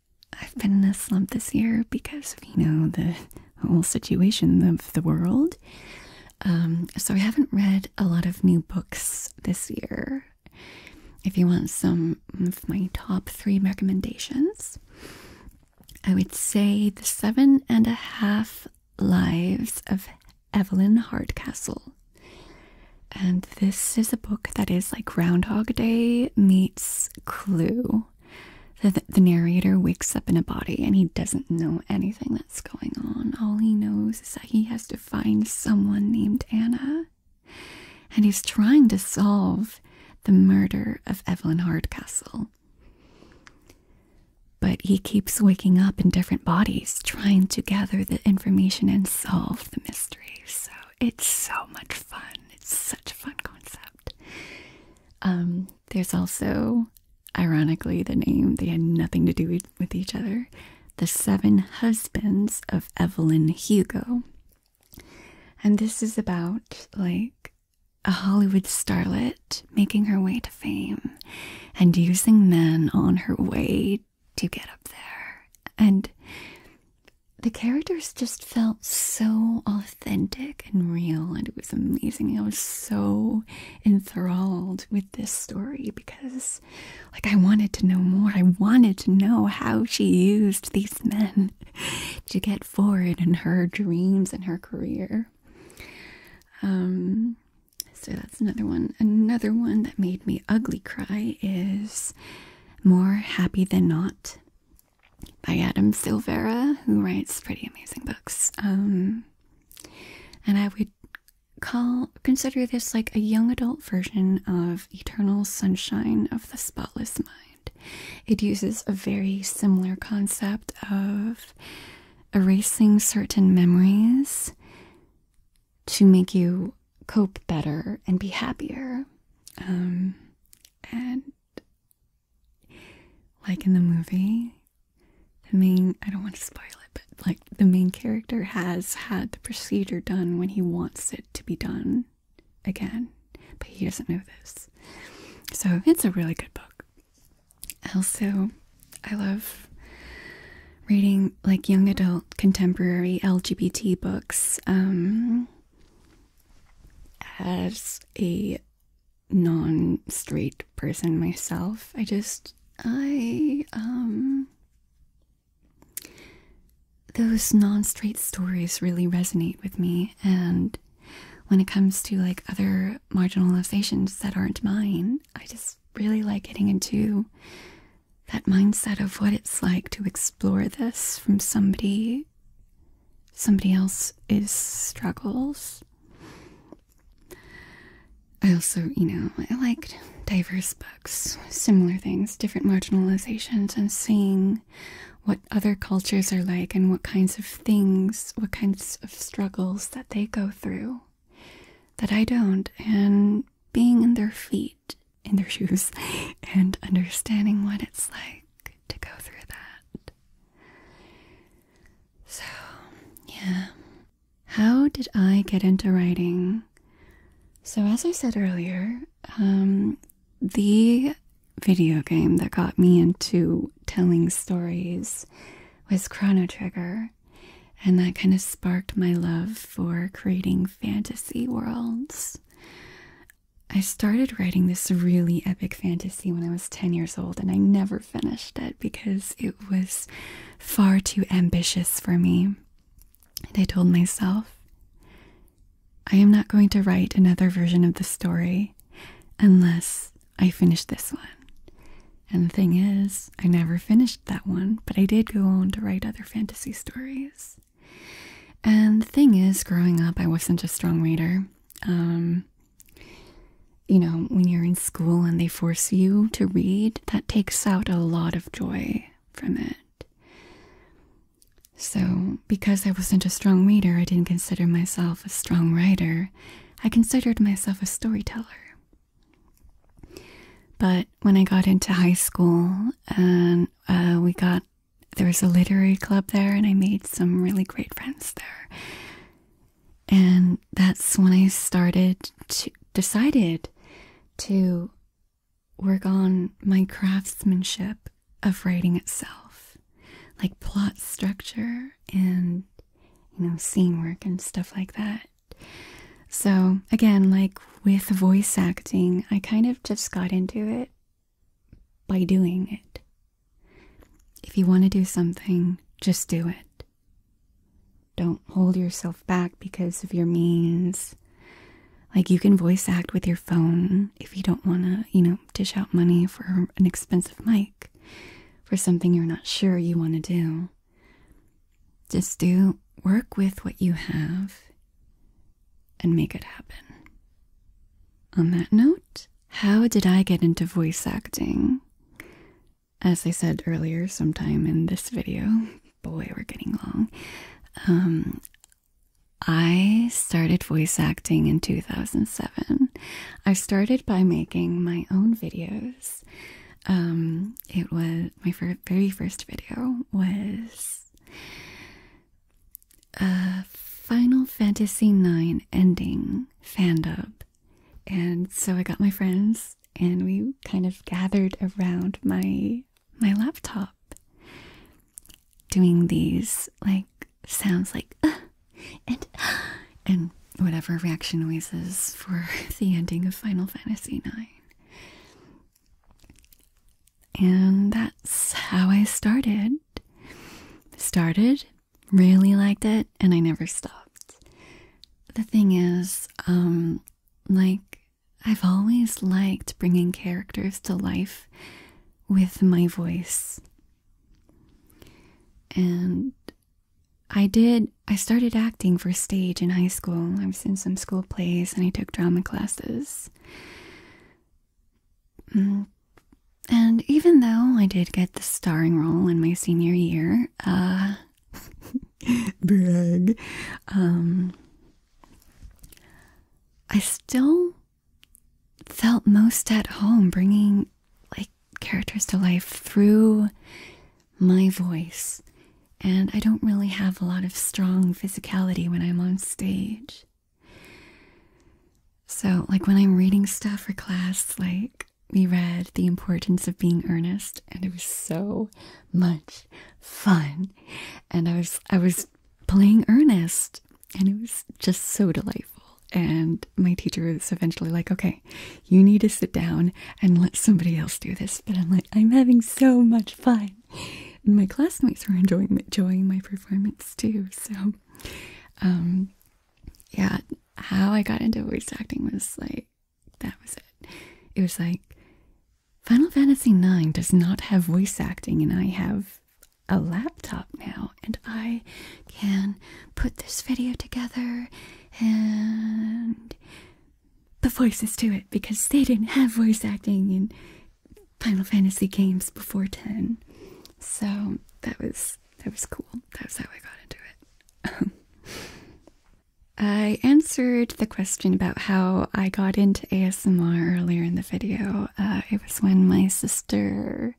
S1: I've been in a slump this year because you know, the whole situation of the world. Um, so I haven't read a lot of new books this year. If you want some of my top three recommendations, I would say The Seven and a Half Lives of Evelyn Hardcastle. And this is a book that is like Groundhog Day meets Clue. The, the narrator wakes up in a body and he doesn't know anything that what's going on. All he knows is that he has to find someone named Anna. And he's trying to solve the murder of Evelyn Hardcastle. But he keeps waking up in different bodies, trying to gather the information and solve the mystery. So it's so much fun. It's such a fun concept. Um, there's also Ironically, the name, they had nothing to do with each other. The Seven Husbands of Evelyn Hugo. And this is about like a Hollywood starlet making her way to fame and using men on her way to get up there. And the characters just felt so authentic and real, and it was amazing. I was so enthralled with this story because, like, I wanted to know more. I wanted to know how she used these men to get forward in her dreams and her career. Um, so that's another one. Another one that made me ugly cry is More Happy Than Not by Adam Silvera, who writes pretty amazing books. Um, and I would call consider this like a young adult version of Eternal Sunshine of the Spotless Mind. It uses a very similar concept of erasing certain memories to make you cope better and be happier. Um, and like in the movie, the main I don't want to spoil it, but like the main character has had the procedure done when he wants it to be done again, but he doesn't know this. So it's a really good book. Also, I love reading like young adult contemporary LGBT books um, as a non straight person myself. I just, I, um, those non straight stories really resonate with me. And when it comes to like other marginalizations that aren't mine, I just really like getting into that mindset of what it's like to explore this from somebody somebody else's struggles I also, you know, I liked diverse books, similar things, different marginalizations, and seeing what other cultures are like and what kinds of things, what kinds of struggles that they go through that I don't, and being in their feet, in their shoes, and understanding what it's like to go through that. So, yeah, how did I get into writing? So, as I said earlier, um, the video game that got me into telling stories was Chrono Trigger, and that kind of sparked my love for creating fantasy worlds. I started writing this really epic fantasy when I was 10 years old, and I never finished it because it was far too ambitious for me. And I told myself, I am not going to write another version of the story unless I finish this one. And the thing is, I never finished that one, but I did go on to write other fantasy stories. And the thing is, growing up, I wasn't a strong reader. Um, you know, when you're in school and they force you to read, that takes out a lot of joy from it. So, because I wasn't a strong reader, I didn't consider myself a strong writer. I considered myself a storyteller. But when I got into high school, and uh, we got there was a literary club there, and I made some really great friends there and that's when I started to decided to work on my craftsmanship of writing itself, like plot structure and you know scene work and stuff like that. So again, like with voice acting, I kind of just got into it by doing it. If you want to do something, just do it. Don't hold yourself back because of your means. Like, you can voice act with your phone if you don't want to, you know, dish out money for an expensive mic, for something you're not sure you want to do. Just do work with what you have and make it happen. On that note, how did I get into voice acting? as I said earlier, sometime in this video, boy, we're getting long. Um, I started voice acting in 2007. I started by making my own videos. Um, it was my fir very first video was a uh, Final Fantasy IX ending fan dub and so I got my friends and we kind of gathered around my my laptop doing these like sounds like uh, and and whatever reaction noises for the ending of Final Fantasy 9. And that's how I started. Started, really liked it, and I never stopped. The thing is, um, like, I've always liked bringing characters to life with my voice. And I did, I started acting for stage in high school. I was in some school plays and I took drama classes. Mm. And even though I did get the starring role in my senior year, uh, Brag. Um, I still felt most at home bringing like characters to life through my voice, and I don't really have a lot of strong physicality when I'm on stage. So, like when I'm reading stuff for class, like we read The Importance of Being Earnest and it was so much fun. And I was I was playing earnest and it was just so delightful. And my teacher was eventually like, okay, you need to sit down and let somebody else do this. But I'm like, I'm having so much fun. And my classmates were enjoying enjoying my performance too. So um yeah, how I got into voice acting was like that was it. It was like Final Fantasy IX does not have voice acting, and I have a laptop now, and I can put this video together and put voices to it because they didn't have voice acting in Final Fantasy games before 10. So that was that was cool. That was how I got into it. I answered the question about how I got into ASMR earlier in the video. Uh, it was when my sister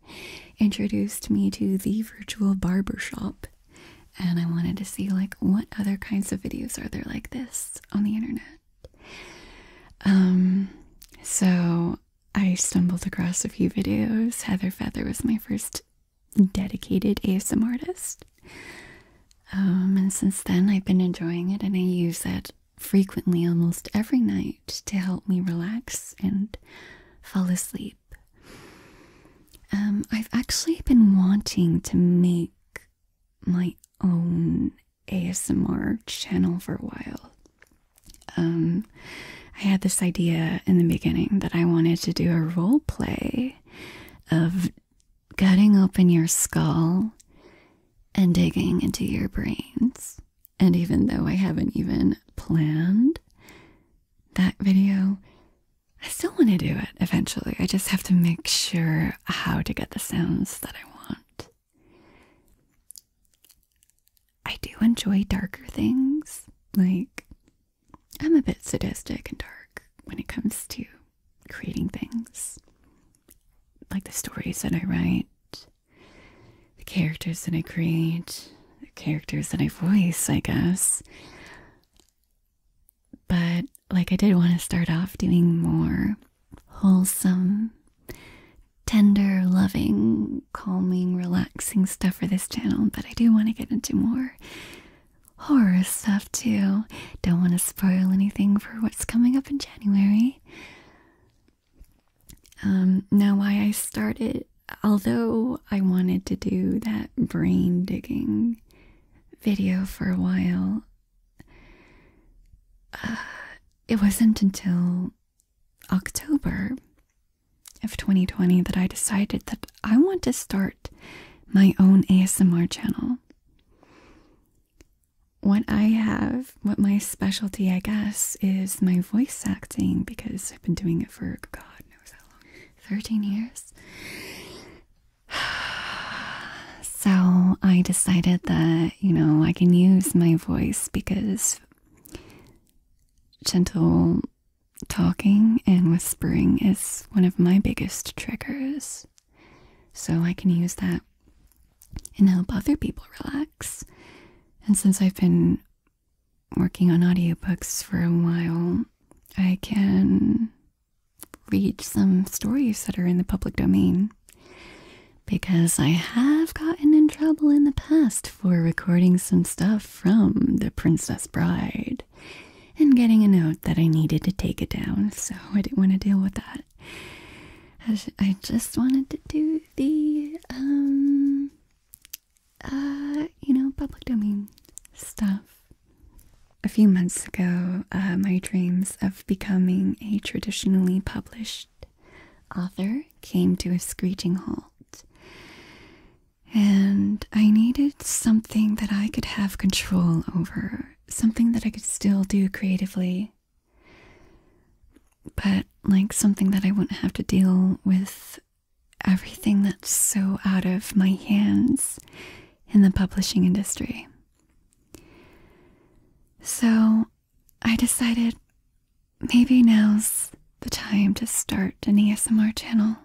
S1: introduced me to the virtual barbershop, and I wanted to see like what other kinds of videos are there like this on the internet. Um, so I stumbled across a few videos. Heather Feather was my first dedicated ASMR artist. Um, and since then, I've been enjoying it, and I use that frequently almost every night to help me relax and fall asleep. Um, I've actually been wanting to make my own ASMR channel for a while. Um, I had this idea in the beginning that I wanted to do a role play of cutting open your skull and digging into your brains. And even though I haven't even planned that video, I still want to do it eventually. I just have to make sure how to get the sounds that I want. I do enjoy darker things, like I'm a bit sadistic and dark when it comes to creating things. Like the stories that I write, the characters that I create, the characters that I voice, I guess. But, like, I did want to start off doing more wholesome, tender, loving, calming, relaxing stuff for this channel, but I do want to get into more horror stuff too. Don't want to spoil anything for what's coming up in January. Um, now, why I started, although I wanted to do that brain digging video for a while, uh, it wasn't until October of 2020 that I decided that I want to start my own ASMR channel. What I have, what my specialty, I guess, is my voice acting because I've been doing it for God knows how long 13 years. So I decided that, you know, I can use my voice because gentle Talking and whispering is one of my biggest triggers, so I can use that and help other people relax. And since I've been working on audiobooks for a while, I can read some stories that are in the public domain because I have gotten in trouble in the past for recording some stuff from The Princess Bride and getting a note that I needed to take it down, so I didn't want to deal with that. I just wanted to do the, um, uh, you know, public domain stuff. A few months ago, uh, my dreams of becoming a traditionally published author came to a screeching halt. And I needed something that I could have control over, something that I could still do creatively, but like something that I wouldn't have to deal with everything that's so out of my hands in the publishing industry. So I decided maybe now's the time to start an ASMR channel.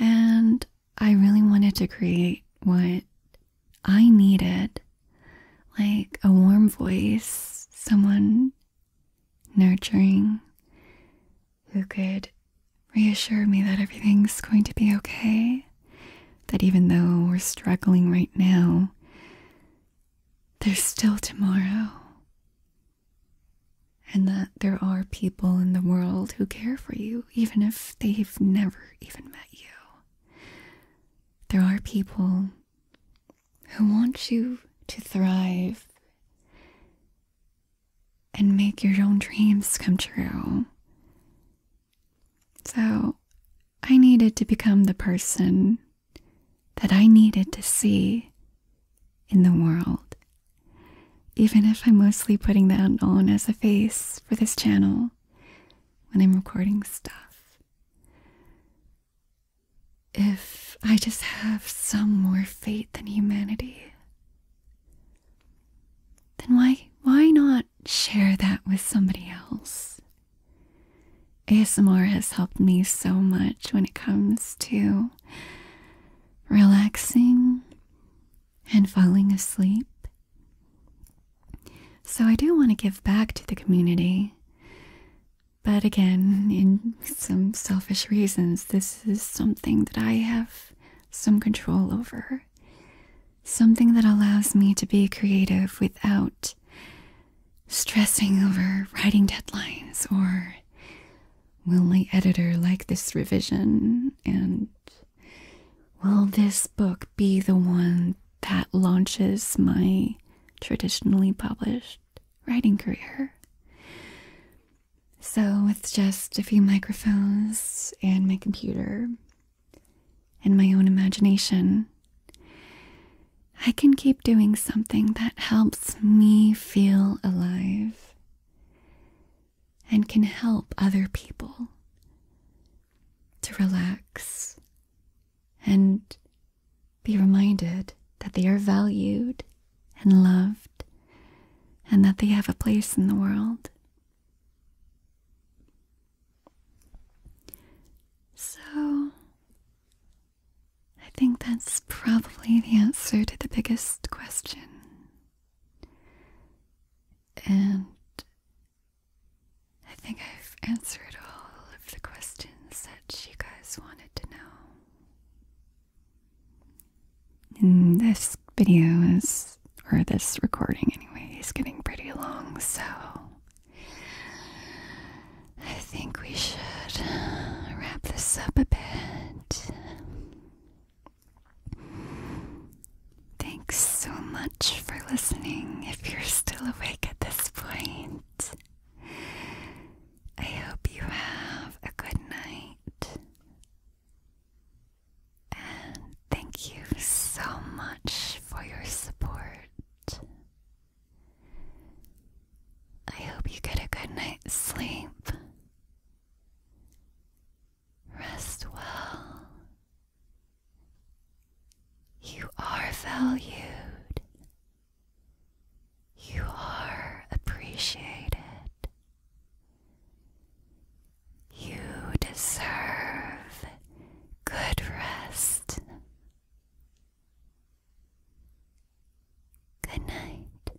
S1: And I really wanted to create what I needed like a warm voice, someone nurturing who could reassure me that everything's going to be okay. That even though we're struggling right now, there's still tomorrow and that there are people in the world who care for you, even if they've never even met you. There are people who want you to thrive and make your own dreams come true. So, I needed to become the person that I needed to see in the world even if I'm mostly putting that on as a face for this channel when I'm recording stuff. If I just have some more faith than humanity, then why why not share that with somebody else? ASMR has helped me so much when it comes to relaxing and falling asleep. So I do want to give back to the community. But again, in some selfish reasons, this is something that I have some control over. Something that allows me to be creative without stressing over writing deadlines or Will my editor like this revision? And will this book be the one that launches my traditionally published writing career? So, with just a few microphones and my computer and my own imagination, I can keep doing something that helps me feel alive and can help other people to relax and be reminded that they are valued and loved and that they have a place in the world. So, I think that's probably the answer to the biggest question. And I think I've answered all of the questions that you guys wanted to know. this video is, or this recording anyways, getting pretty long, so I think we should wrap this up a bit. Thanks so much for listening if you're still awake at this point. I hope you have a good night. And thank you so much for your support. I hope you get a good night's sleep. Rest well. You are valued. You are appreciated. You deserve good rest. Good night.